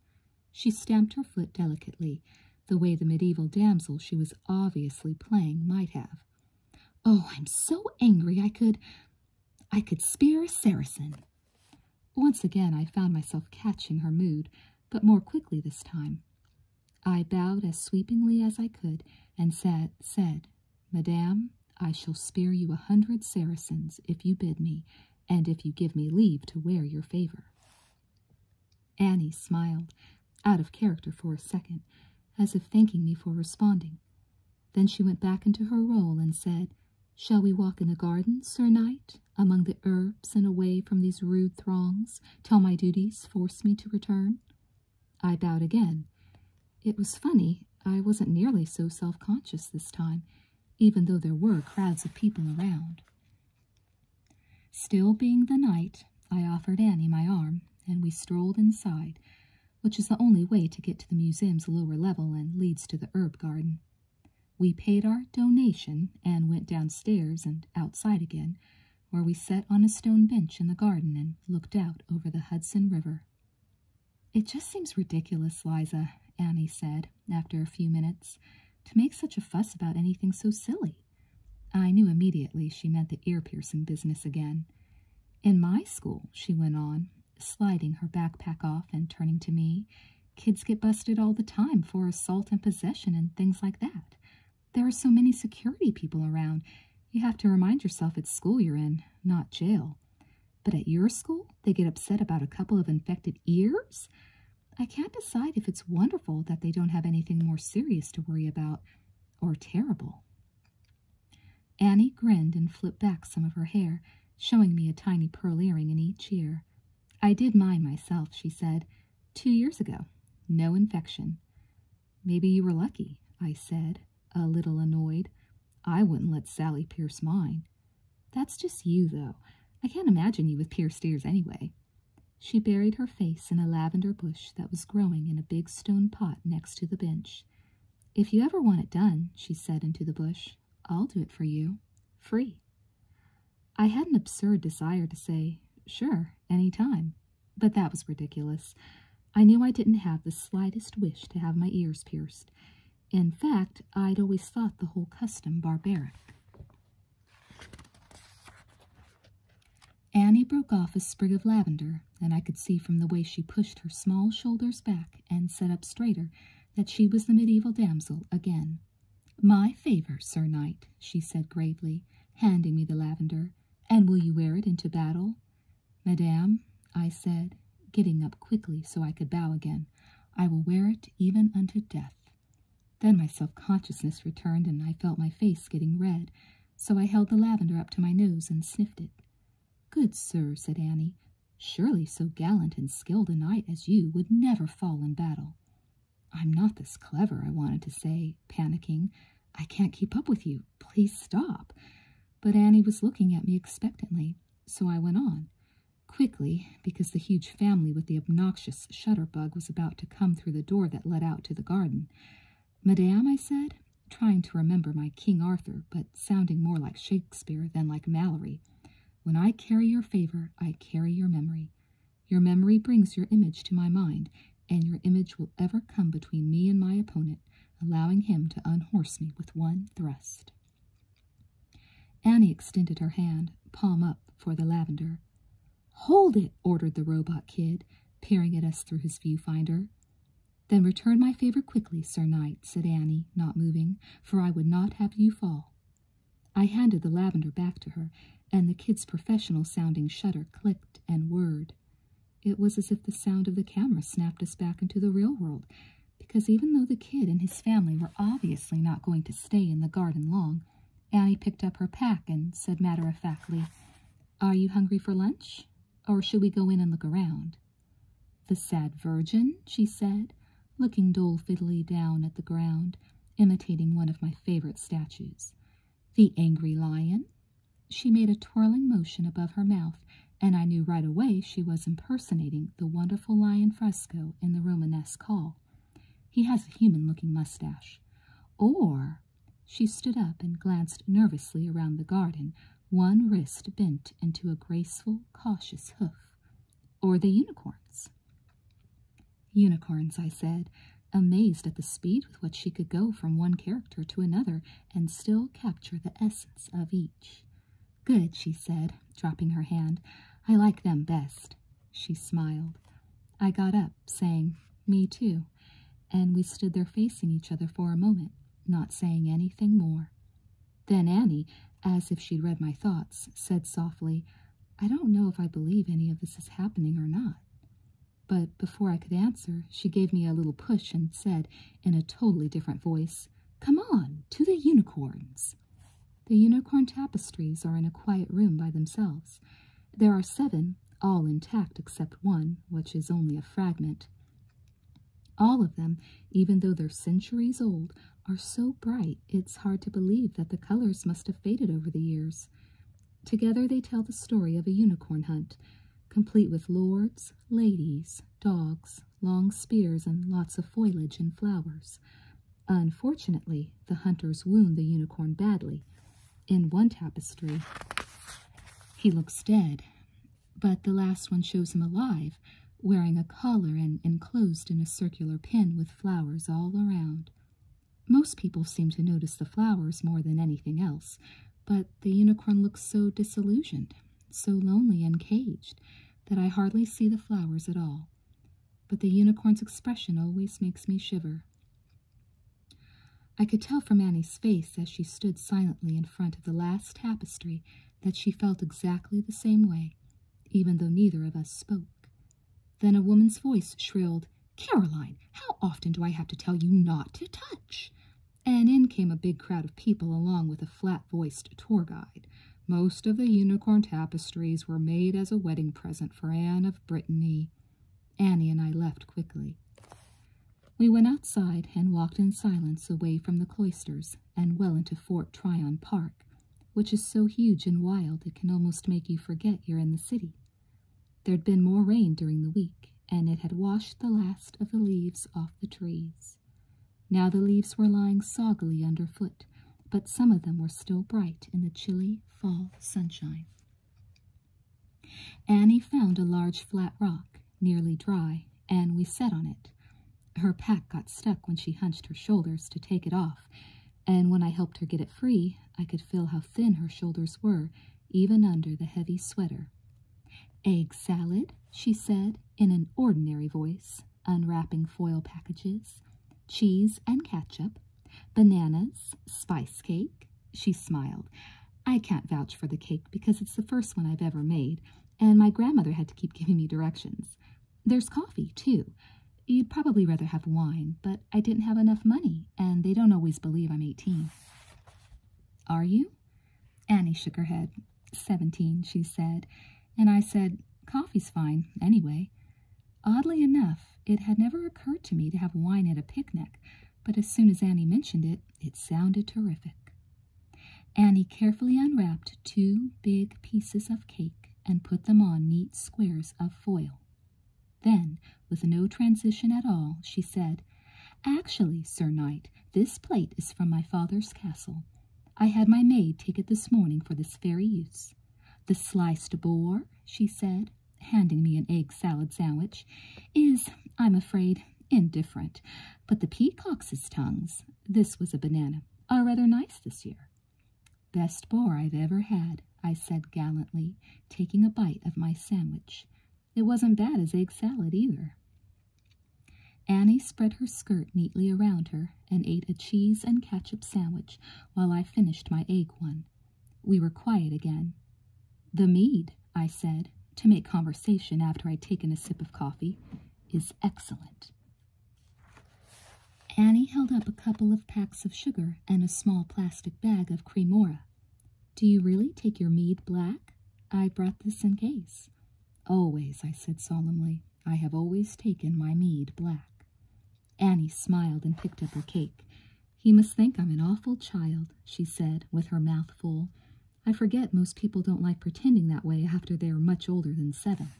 Speaker 1: She stamped her foot delicately, the way the medieval damsel she was obviously playing might have. Oh, I'm so angry I could... I could spear a Saracen. Once again I found myself catching her mood, but more quickly this time. I bowed as sweepingly as I could, and said, said Madame, I shall spare you a hundred Saracens if you bid me, and if you give me leave to wear your favor. Annie smiled, out of character for a second, as if thanking me for responding. Then she went back into her role and said, Shall we walk in the garden, sir knight, among the herbs and away from these rude throngs, till my duties force me to return? I bowed again. It was funny, I wasn't nearly so self-conscious this time, even though there were crowds of people around. Still being the night, I offered Annie my arm, and we strolled inside, which is the only way to get to the museum's lower level and leads to the herb garden. We paid our donation and went downstairs and outside again, where we sat on a stone bench in the garden and looked out over the Hudson River. It just seems ridiculous, Liza, Annie said, after a few minutes, to make such a fuss about anything so silly. I knew immediately she meant the ear piercing business again. In my school, she went on, sliding her backpack off and turning to me, kids get busted all the time for assault and possession and things like that. There are so many security people around. You have to remind yourself it's school you're in, not jail. But at your school, they get upset about a couple of infected ears? I can't decide if it's wonderful that they don't have anything more serious to worry about, or terrible. Annie grinned and flipped back some of her hair, showing me a tiny pearl earring in each ear. I did mine myself, she said, two years ago. No infection. Maybe you were lucky, I said, a little annoyed. I wouldn't let Sally pierce mine. That's just you, though. I can't imagine you with pierced ears anyway. She buried her face in a lavender bush that was growing in a big stone pot next to the bench. If you ever want it done, she said into the bush, I'll do it for you, free. I had an absurd desire to say, sure, any time, but that was ridiculous. I knew I didn't have the slightest wish to have my ears pierced. In fact, I'd always thought the whole custom barbaric. Annie broke off a sprig of lavender, and I could see from the way she pushed her small shoulders back and set up straighter that she was the medieval damsel again. My favor, Sir Knight, she said gravely, handing me the lavender, and will you wear it into battle? Madame, I said, getting up quickly so I could bow again, I will wear it even unto death. Then my self consciousness returned, and I felt my face getting red, so I held the lavender up to my nose and sniffed it. Good sir, said Annie, surely so gallant and skilled a knight as you would never fall in battle. I'm not this clever, I wanted to say, panicking. I can't keep up with you. Please stop. But Annie was looking at me expectantly, so I went on. Quickly, because the huge family with the obnoxious shutterbug was about to come through the door that led out to the garden. Madame, I said, trying to remember my King Arthur, but sounding more like Shakespeare than like Mallory. When I carry your favor, I carry your memory. Your memory brings your image to my mind, and your image will ever come between me and my opponent, allowing him to unhorse me with one thrust. Annie extended her hand, palm up, for the lavender. Hold it, ordered the robot kid, peering at us through his viewfinder. Then return my favor quickly, Sir Knight, said Annie, not moving, for I would not have you fall. I handed the lavender back to her, and the kid's professional sounding shutter clicked and whirred. It was as if the sound of the camera snapped us back into the real world, because even though the kid and his family were obviously not going to stay in the garden long, Annie picked up her pack and said matter of factly, Are you hungry for lunch? Or shall we go in and look around? The sad virgin, she said, looking dolefully down at the ground, imitating one of my favorite statues. The angry lion. She made a twirling motion above her mouth, and I knew right away she was impersonating the wonderful lion fresco in the Romanesque hall. He has a human-looking mustache. Or she stood up and glanced nervously around the garden, one wrist bent into a graceful, cautious hoof. Or the unicorns. Unicorns, I said, amazed at the speed with which she could go from one character to another and still capture the essence of each. Good, she said, dropping her hand. I like them best. She smiled. I got up, saying, Me too, and we stood there facing each other for a moment, not saying anything more. Then Annie, as if she'd read my thoughts, said softly, I don't know if I believe any of this is happening or not. But before I could answer, she gave me a little push and said, in a totally different voice, Come on, to the unicorns. The unicorn tapestries are in a quiet room by themselves. There are seven, all intact except one, which is only a fragment. All of them, even though they're centuries old, are so bright it's hard to believe that the colors must have faded over the years. Together they tell the story of a unicorn hunt, complete with lords, ladies, dogs, long spears, and lots of foliage and flowers. Unfortunately, the hunters wound the unicorn badly, in one tapestry, he looks dead, but the last one shows him alive, wearing a collar and enclosed in a circular pin with flowers all around. Most people seem to notice the flowers more than anything else, but the unicorn looks so disillusioned, so lonely and caged, that I hardly see the flowers at all. But the unicorn's expression always makes me shiver. I could tell from Annie's face as she stood silently in front of the last tapestry that she felt exactly the same way, even though neither of us spoke. Then a woman's voice shrilled, Caroline, how often do I have to tell you not to touch? And in came a big crowd of people along with a flat voiced tour guide. Most of the unicorn tapestries were made as a wedding present for Anne of Brittany. Annie and I left quickly. We went outside and walked in silence away from the cloisters and well into Fort Tryon Park, which is so huge and wild it can almost make you forget you're in the city. There'd been more rain during the week, and it had washed the last of the leaves off the trees. Now the leaves were lying soggily underfoot, but some of them were still bright in the chilly fall sunshine. Annie found a large flat rock, nearly dry, and we sat on it. Her pack got stuck when she hunched her shoulders to take it off, and when I helped her get it free, I could feel how thin her shoulders were, even under the heavy sweater. Egg salad, she said in an ordinary voice, unwrapping foil packages, cheese and ketchup, Bananas, spice cake. She smiled. I can't vouch for the cake because it's the first one I've ever made, and my grandmother had to keep giving me directions. There's coffee, too. You'd probably rather have wine, but I didn't have enough money, and they don't always believe I'm 18. Are you? Annie shook her head. Seventeen, she said, and I said, coffee's fine, anyway. Oddly enough, it had never occurred to me to have wine at a picnic, but as soon as Annie mentioned it, it sounded terrific. Annie carefully unwrapped two big pieces of cake and put them on neat squares of foil. Then, with no transition at all, she said, Actually, Sir Knight, this plate is from my father's castle. I had my maid take it this morning for this very use. The sliced boar, she said, handing me an egg salad sandwich, is, I'm afraid, indifferent. But the peacock's tongues, this was a banana, are rather nice this year. Best boar I've ever had, I said gallantly, taking a bite of my sandwich. It wasn't bad as egg salad either. Annie spread her skirt neatly around her and ate a cheese and ketchup sandwich while I finished my egg one. We were quiet again. The mead, I said, to make conversation after I'd taken a sip of coffee, is excellent. Annie held up a couple of packs of sugar and a small plastic bag of cremora. Do you really take your mead black? I brought this in case. Always, I said solemnly. I have always taken my mead black. Annie smiled and picked up her cake. He must think I'm an awful child, she said, with her mouth full. I forget most people don't like pretending that way after they're much older than seven.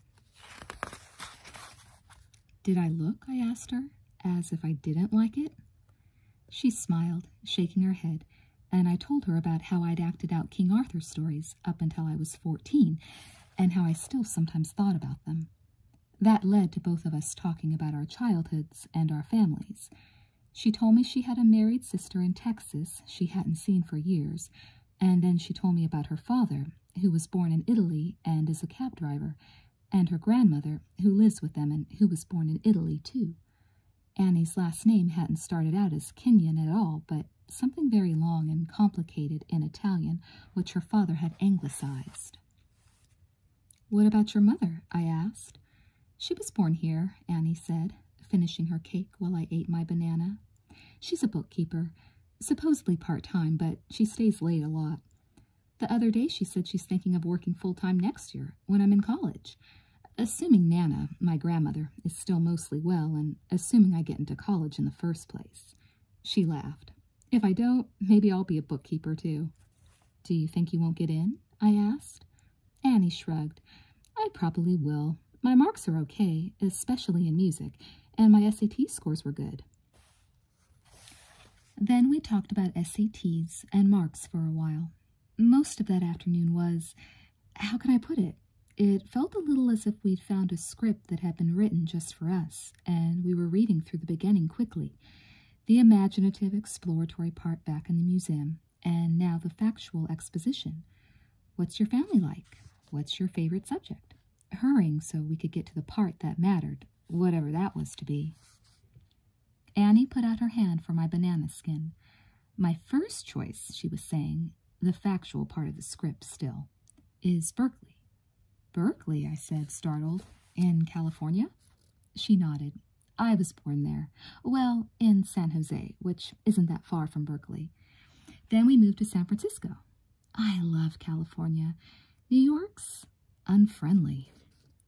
Speaker 1: Did I look? I asked her, as if I didn't like it. She smiled, shaking her head, and I told her about how I'd acted out King Arthur stories up until I was fourteen, and how I still sometimes thought about them. That led to both of us talking about our childhoods and our families, she told me she had a married sister in Texas she hadn't seen for years, and then she told me about her father, who was born in Italy and is a cab driver, and her grandmother, who lives with them and who was born in Italy, too. Annie's last name hadn't started out as Kenyon at all, but something very long and complicated in Italian, which her father had anglicized. What about your mother? I asked. She was born here, Annie said, finishing her cake while I ate my banana. She's a bookkeeper, supposedly part-time, but she stays late a lot. The other day she said she's thinking of working full-time next year, when I'm in college. Assuming Nana, my grandmother, is still mostly well, and assuming I get into college in the first place. She laughed. If I don't, maybe I'll be a bookkeeper, too. Do you think you won't get in? I asked. Annie shrugged. I probably will. My marks are okay, especially in music, and my SAT scores were good. Then we talked about SATs and marks for a while. Most of that afternoon was, how can I put it? It felt a little as if we'd found a script that had been written just for us, and we were reading through the beginning quickly the imaginative exploratory part back in the museum, and now the factual exposition. What's your family like? What's your favorite subject? Hurrying so we could get to the part that mattered, whatever that was to be. Annie put out her hand for my banana skin. My first choice, she was saying, the factual part of the script still, is Berkeley. Berkeley, I said, startled. In California? She nodded. I was born there. Well, in San Jose, which isn't that far from Berkeley. Then we moved to San Francisco. I love California. New York's unfriendly.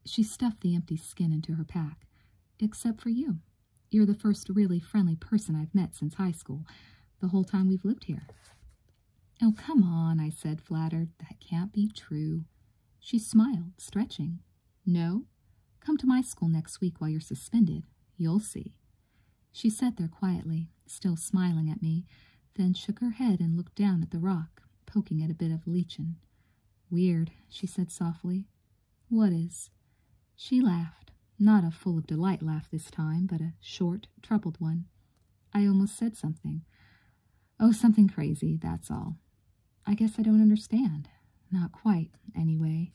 Speaker 1: She stuffed the empty skin into her pack. Except for you. You're the first really friendly person I've met since high school, the whole time we've lived here. Oh, come on, I said, flattered. That can't be true. She smiled, stretching. No? Come to my school next week while you're suspended. You'll see. She sat there quietly, still smiling at me, then shook her head and looked down at the rock, poking at a bit of lichen. Weird, she said softly. What is? She laughed, not a full of delight laugh this time, but a short, troubled one. I almost said something. Oh, something crazy, that's all. I guess I don't understand. Not quite, anyway.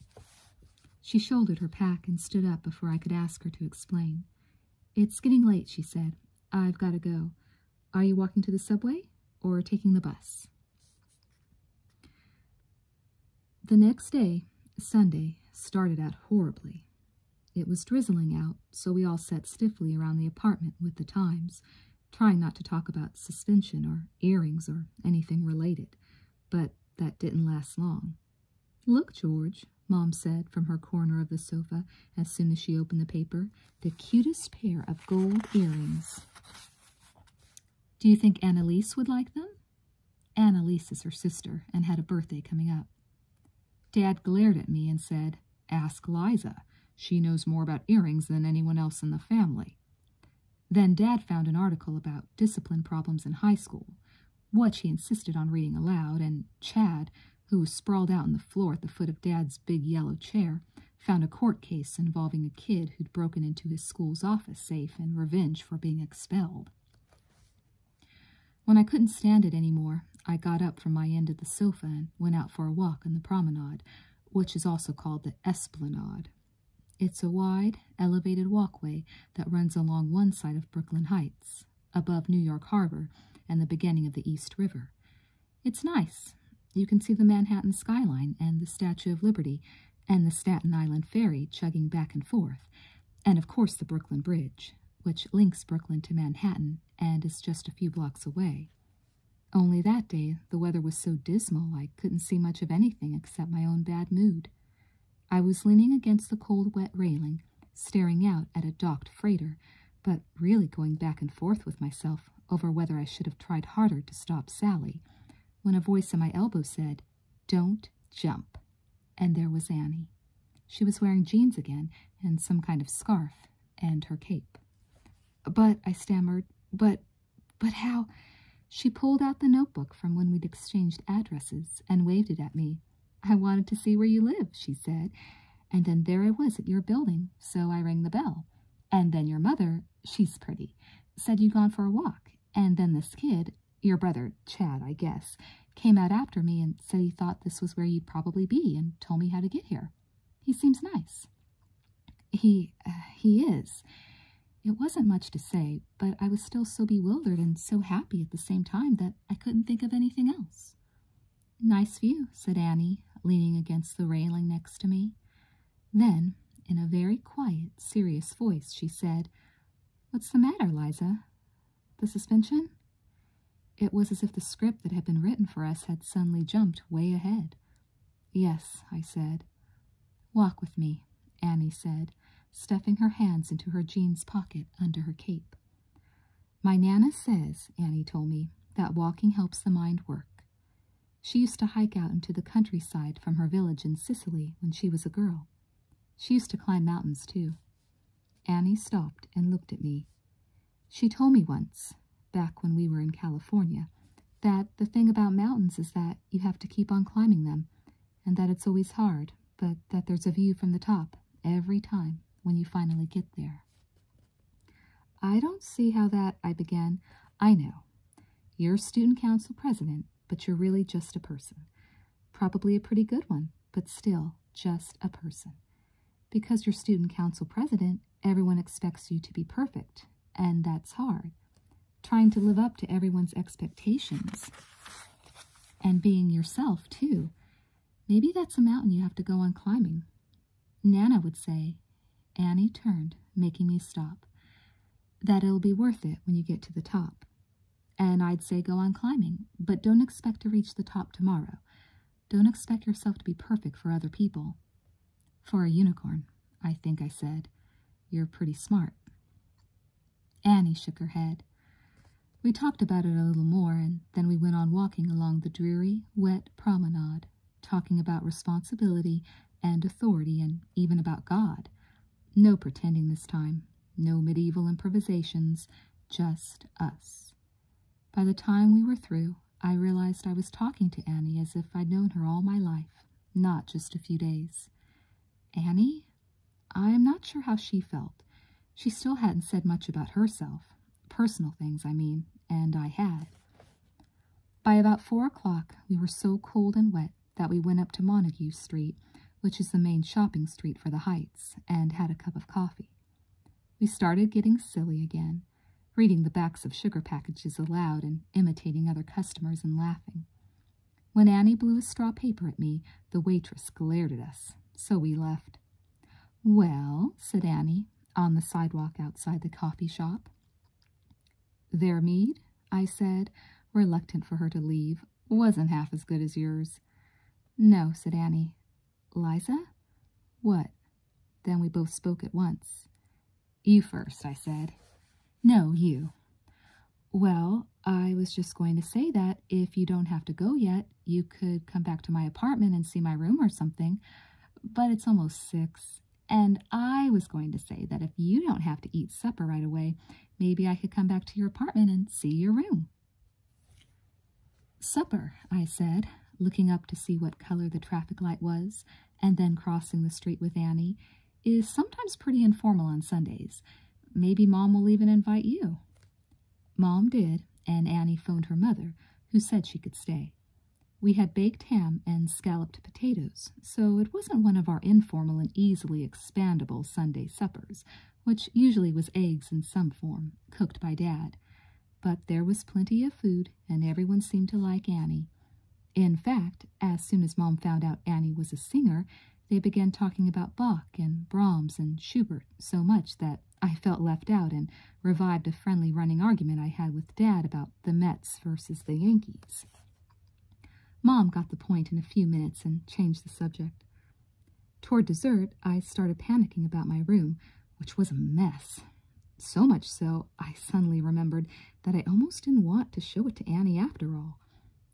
Speaker 1: She shouldered her pack and stood up before I could ask her to explain. It's getting late, she said. I've got to go. Are you walking to the subway or taking the bus? The next day, Sunday, started out horribly. It was drizzling out, so we all sat stiffly around the apartment with the Times trying not to talk about suspension or earrings or anything related, but that didn't last long. Look, George, Mom said from her corner of the sofa as soon as she opened the paper, the cutest pair of gold earrings. Do you think Annalise would like them? Annalise is her sister and had a birthday coming up. Dad glared at me and said, Ask Liza. She knows more about earrings than anyone else in the family. Then Dad found an article about discipline problems in high school, which he insisted on reading aloud, and Chad, who was sprawled out on the floor at the foot of Dad's big yellow chair, found a court case involving a kid who'd broken into his school's office safe in revenge for being expelled. When I couldn't stand it any more, I got up from my end of the sofa and went out for a walk on the promenade, which is also called the Esplanade. It's a wide, elevated walkway that runs along one side of Brooklyn Heights, above New York Harbor and the beginning of the East River. It's nice. You can see the Manhattan skyline and the Statue of Liberty and the Staten Island Ferry chugging back and forth, and of course the Brooklyn Bridge, which links Brooklyn to Manhattan and is just a few blocks away. Only that day the weather was so dismal I couldn't see much of anything except my own bad mood. I was leaning against the cold, wet railing, staring out at a docked freighter, but really going back and forth with myself over whether I should have tried harder to stop Sally, when a voice at my elbow said, Don't jump. And there was Annie. She was wearing jeans again and some kind of scarf and her cape. But, I stammered, but but how? She pulled out the notebook from when we'd exchanged addresses and waved it at me. I wanted to see where you live, she said. And then there I was at your building, so I rang the bell. And then your mother, she's pretty, said you'd gone for a walk. And then this kid, your brother, Chad, I guess, came out after me and said he thought this was where you'd probably be and told me how to get here. He seems nice. He, uh, he is. It wasn't much to say, but I was still so bewildered and so happy at the same time that I couldn't think of anything else. Nice view, said Annie, leaning against the railing next to me. Then, in a very quiet, serious voice, she said, What's the matter, Liza? The suspension? It was as if the script that had been written for us had suddenly jumped way ahead. Yes, I said. Walk with me, Annie said, stuffing her hands into her jeans pocket under her cape. My Nana says, Annie told me, that walking helps the mind work. She used to hike out into the countryside from her village in Sicily when she was a girl. She used to climb mountains, too. Annie stopped and looked at me. She told me once, back when we were in California that the thing about mountains is that you have to keep on climbing them, and that it's always hard, but that there's a view from the top every time when you finally get there. I don't see how that, I began. I know. You're student council president, but you're really just a person. Probably a pretty good one, but still just a person. Because you're student council president, everyone expects you to be perfect, and that's hard. Trying to live up to everyone's expectations and being yourself, too. Maybe that's a mountain you have to go on climbing. Nana would say, Annie turned, making me stop, that it'll be worth it when you get to the top. And I'd say go on climbing, but don't expect to reach the top tomorrow. Don't expect yourself to be perfect for other people. For a unicorn, I think I said, you're pretty smart. Annie shook her head. We talked about it a little more, and then we went on walking along the dreary, wet promenade, talking about responsibility and authority and even about God. No pretending this time, no medieval improvisations, just us. By the time we were through, I realized I was talking to Annie as if I'd known her all my life not just a few days. Annie? I'm not sure how she felt. She still hadn't said much about herself. Personal things, I mean, and I had. By about four o'clock, we were so cold and wet that we went up to Montague Street, which is the main shopping street for the Heights, and had a cup of coffee. We started getting silly again reading the backs of sugar packages aloud and imitating other customers and laughing. When Annie blew a straw paper at me, the waitress glared at us, so we left. Well, said Annie, on the sidewalk outside the coffee shop. Their mead, I said, reluctant for her to leave, wasn't half as good as yours. No, said Annie. Liza? What? Then we both spoke at once. You first, I said. No, you. Well, I was just going to say that if you don't have to go yet, you could come back to my apartment and see my room or something. But it's almost six, and I was going to say that if you don't have to eat supper right away, maybe I could come back to your apartment and see your room. Supper, I said, looking up to see what color the traffic light was, and then crossing the street with Annie is sometimes pretty informal on Sundays. Maybe Mom will even invite you. Mom did, and Annie phoned her mother, who said she could stay. We had baked ham and scalloped potatoes, so it wasn't one of our informal and easily expandable Sunday suppers, which usually was eggs in some form, cooked by Dad. But there was plenty of food, and everyone seemed to like Annie. In fact, as soon as Mom found out Annie was a singer, they began talking about Bach and Brahms and Schubert so much that I felt left out and revived a friendly running argument I had with Dad about the Mets versus the Yankees. Mom got the point in a few minutes and changed the subject. Toward dessert, I started panicking about my room, which was a mess. So much so, I suddenly remembered that I almost didn't want to show it to Annie after all.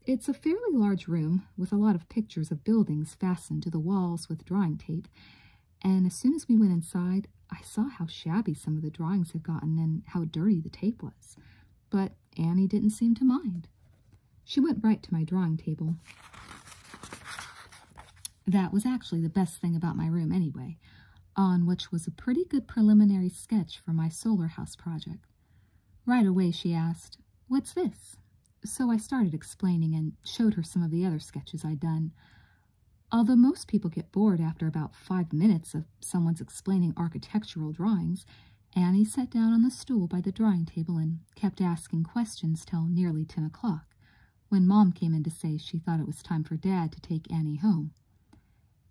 Speaker 1: It's a fairly large room with a lot of pictures of buildings fastened to the walls with drawing tape, and as soon as we went inside, I saw how shabby some of the drawings had gotten and how dirty the tape was. But Annie didn't seem to mind. She went right to my drawing table. That was actually the best thing about my room anyway on which was a pretty good preliminary sketch for my solar house project. Right away she asked, What's this? So I started explaining and showed her some of the other sketches I'd done. Although most people get bored after about five minutes of someone's explaining architectural drawings, Annie sat down on the stool by the drawing table and kept asking questions till nearly ten o'clock, when Mom came in to say she thought it was time for Dad to take Annie home.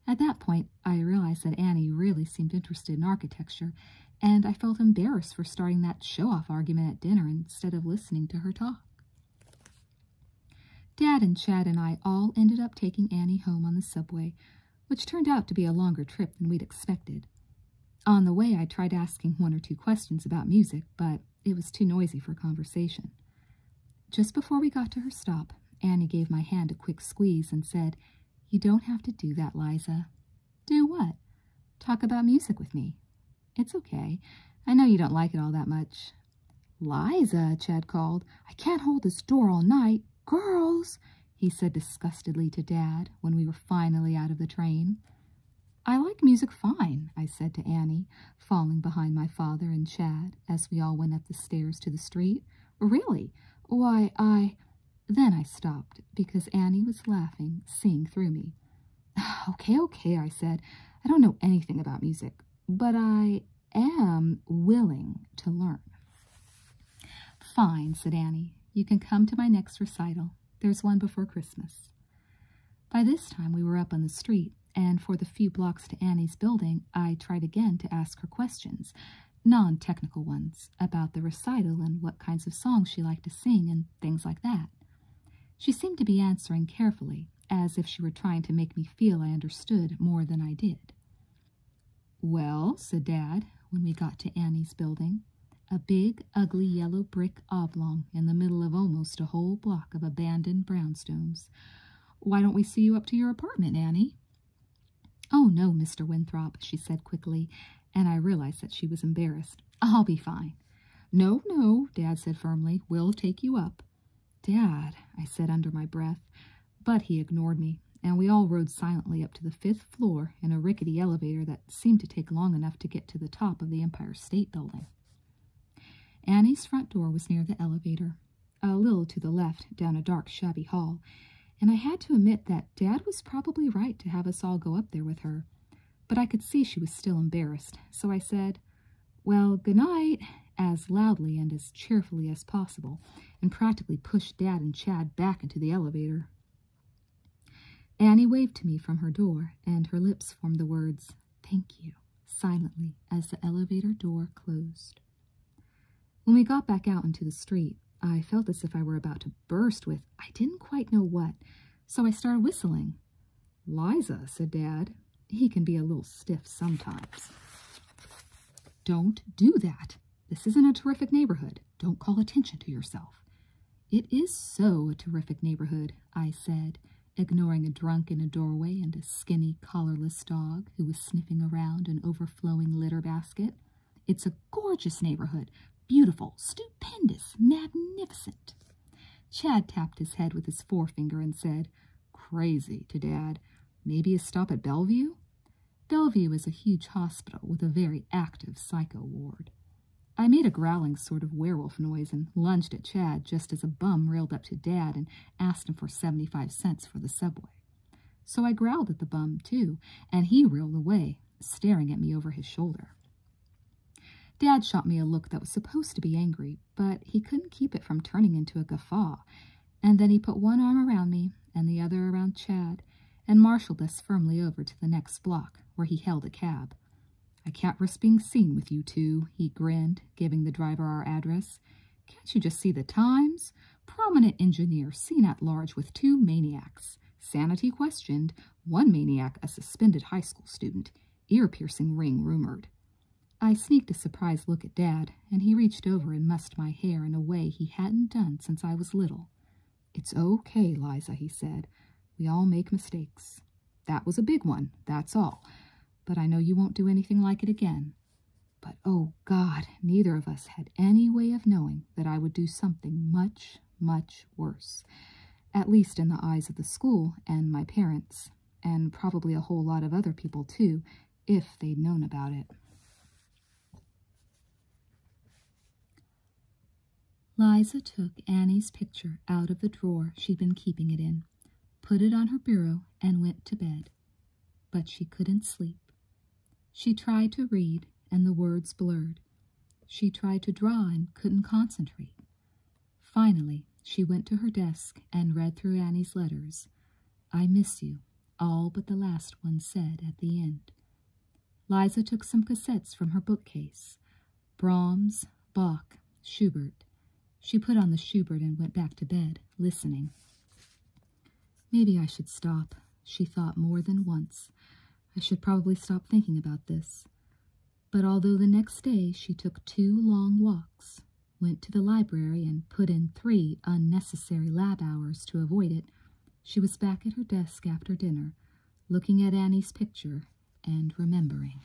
Speaker 1: At that point, I realized that Annie really seemed interested in architecture, and I felt embarrassed for starting that show off argument at dinner instead of listening to her talk. Dad and Chad and I all ended up taking Annie home on the subway, which turned out to be a longer trip than we'd expected. On the way, I tried asking one or two questions about music, but it was too noisy for conversation. Just before we got to her stop, Annie gave my hand a quick squeeze and said, You don't have to do that, Liza. Do what? Talk about music with me. It's okay. I know you don't like it all that much. Liza, Chad called. I can't hold this door all night. Girls, he said disgustedly to Dad when we were finally out of the train. I like music fine, I said to Annie, falling behind my father and Chad as we all went up the stairs to the street. Really? Why, I. Then I stopped because Annie was laughing, seeing through me. Okay, okay, I said. I don't know anything about music, but I am willing to learn. Fine, said Annie. You can come to my next recital. There's one before Christmas. By this time, we were up on the street, and for the few blocks to Annie's building, I tried again to ask her questions, non technical ones about the recital and what kinds of songs she liked to sing and things like that. She seemed to be answering carefully, as if she were trying to make me feel I understood more than I did. Well, said Dad, when we got to Annie's building, a big, ugly yellow brick oblong in the middle of almost a whole block of abandoned brownstones. Why don't we see you up to your apartment, Annie? Oh, no, Mr. Winthrop, she said quickly, and I realized that she was embarrassed. I'll be fine. No, no, Dad said firmly. We'll take you up. Dad, I said under my breath, but he ignored me, and we all rode silently up to the fifth floor in a rickety elevator that seemed to take long enough to get to the top of the Empire State Building. Annie's front door was near the elevator a little to the left down a dark, shabby hall, and I had to admit that Dad was probably right to have us all go up there with her. But I could see she was still embarrassed, so I said, Well, good night, as loudly and as cheerfully as possible, and practically pushed Dad and Chad back into the elevator. Annie waved to me from her door, and her lips formed the words, Thank you, silently, as the elevator door closed. When we got back out into the street, I felt as if I were about to burst with I didn't quite know what, so I started whistling. Liza, said Dad. He can be a little stiff sometimes. Don't do that. This isn't a terrific neighborhood. Don't call attention to yourself. It is so a terrific neighborhood, I said, ignoring a drunk in a doorway and a skinny, collarless dog who was sniffing around an overflowing litter basket. It's a gorgeous neighborhood, beautiful, stupendous, magnificent. Chad tapped his head with his forefinger and said, Crazy to Dad. Maybe a stop at Bellevue? Bellevue is a huge hospital with a very active psycho ward. I made a growling sort of werewolf noise and lunged at Chad just as a bum railed up to Dad and asked him for 75 cents for the subway. So I growled at the bum, too, and he reeled away, staring at me over his shoulder. Dad shot me a look that was supposed to be angry, but he couldn't keep it from turning into a guffaw, and then he put one arm around me and the other around Chad and marshaled us firmly over to the next block, where he held a cab. I can't risk being seen with you two, he grinned, giving the driver our address. Can't you just see the times? Prominent engineer seen at large with two maniacs. Sanity questioned, one maniac a suspended high school student. Ear-piercing ring rumored. I sneaked a surprised look at Dad, and he reached over and mussed my hair in a way he hadn't done since I was little. It's okay, Liza, he said. We all make mistakes. That was a big one, that's all. But I know you won't do anything like it again. But oh God, neither of us had any way of knowing that I would do something much, much worse, at least in the eyes of the school and my parents, and probably a whole lot of other people too, if they'd known about it. Liza took Annie's picture out of the drawer she'd been keeping it in, put it on her bureau, and went to bed, but she couldn't sleep. She tried to read, and the words blurred. She tried to draw and couldn't concentrate. Finally, she went to her desk and read through Annie's letters. I miss you, all but the last one said at the end. Liza took some cassettes from her bookcase. Brahms, Bach, Schubert. She put on the Schubert and went back to bed, listening. Maybe I should stop, she thought more than once. I should probably stop thinking about this. But although the next day she took two long walks, went to the library, and put in three unnecessary lab hours to avoid it, she was back at her desk after dinner, looking at Annie's picture and remembering.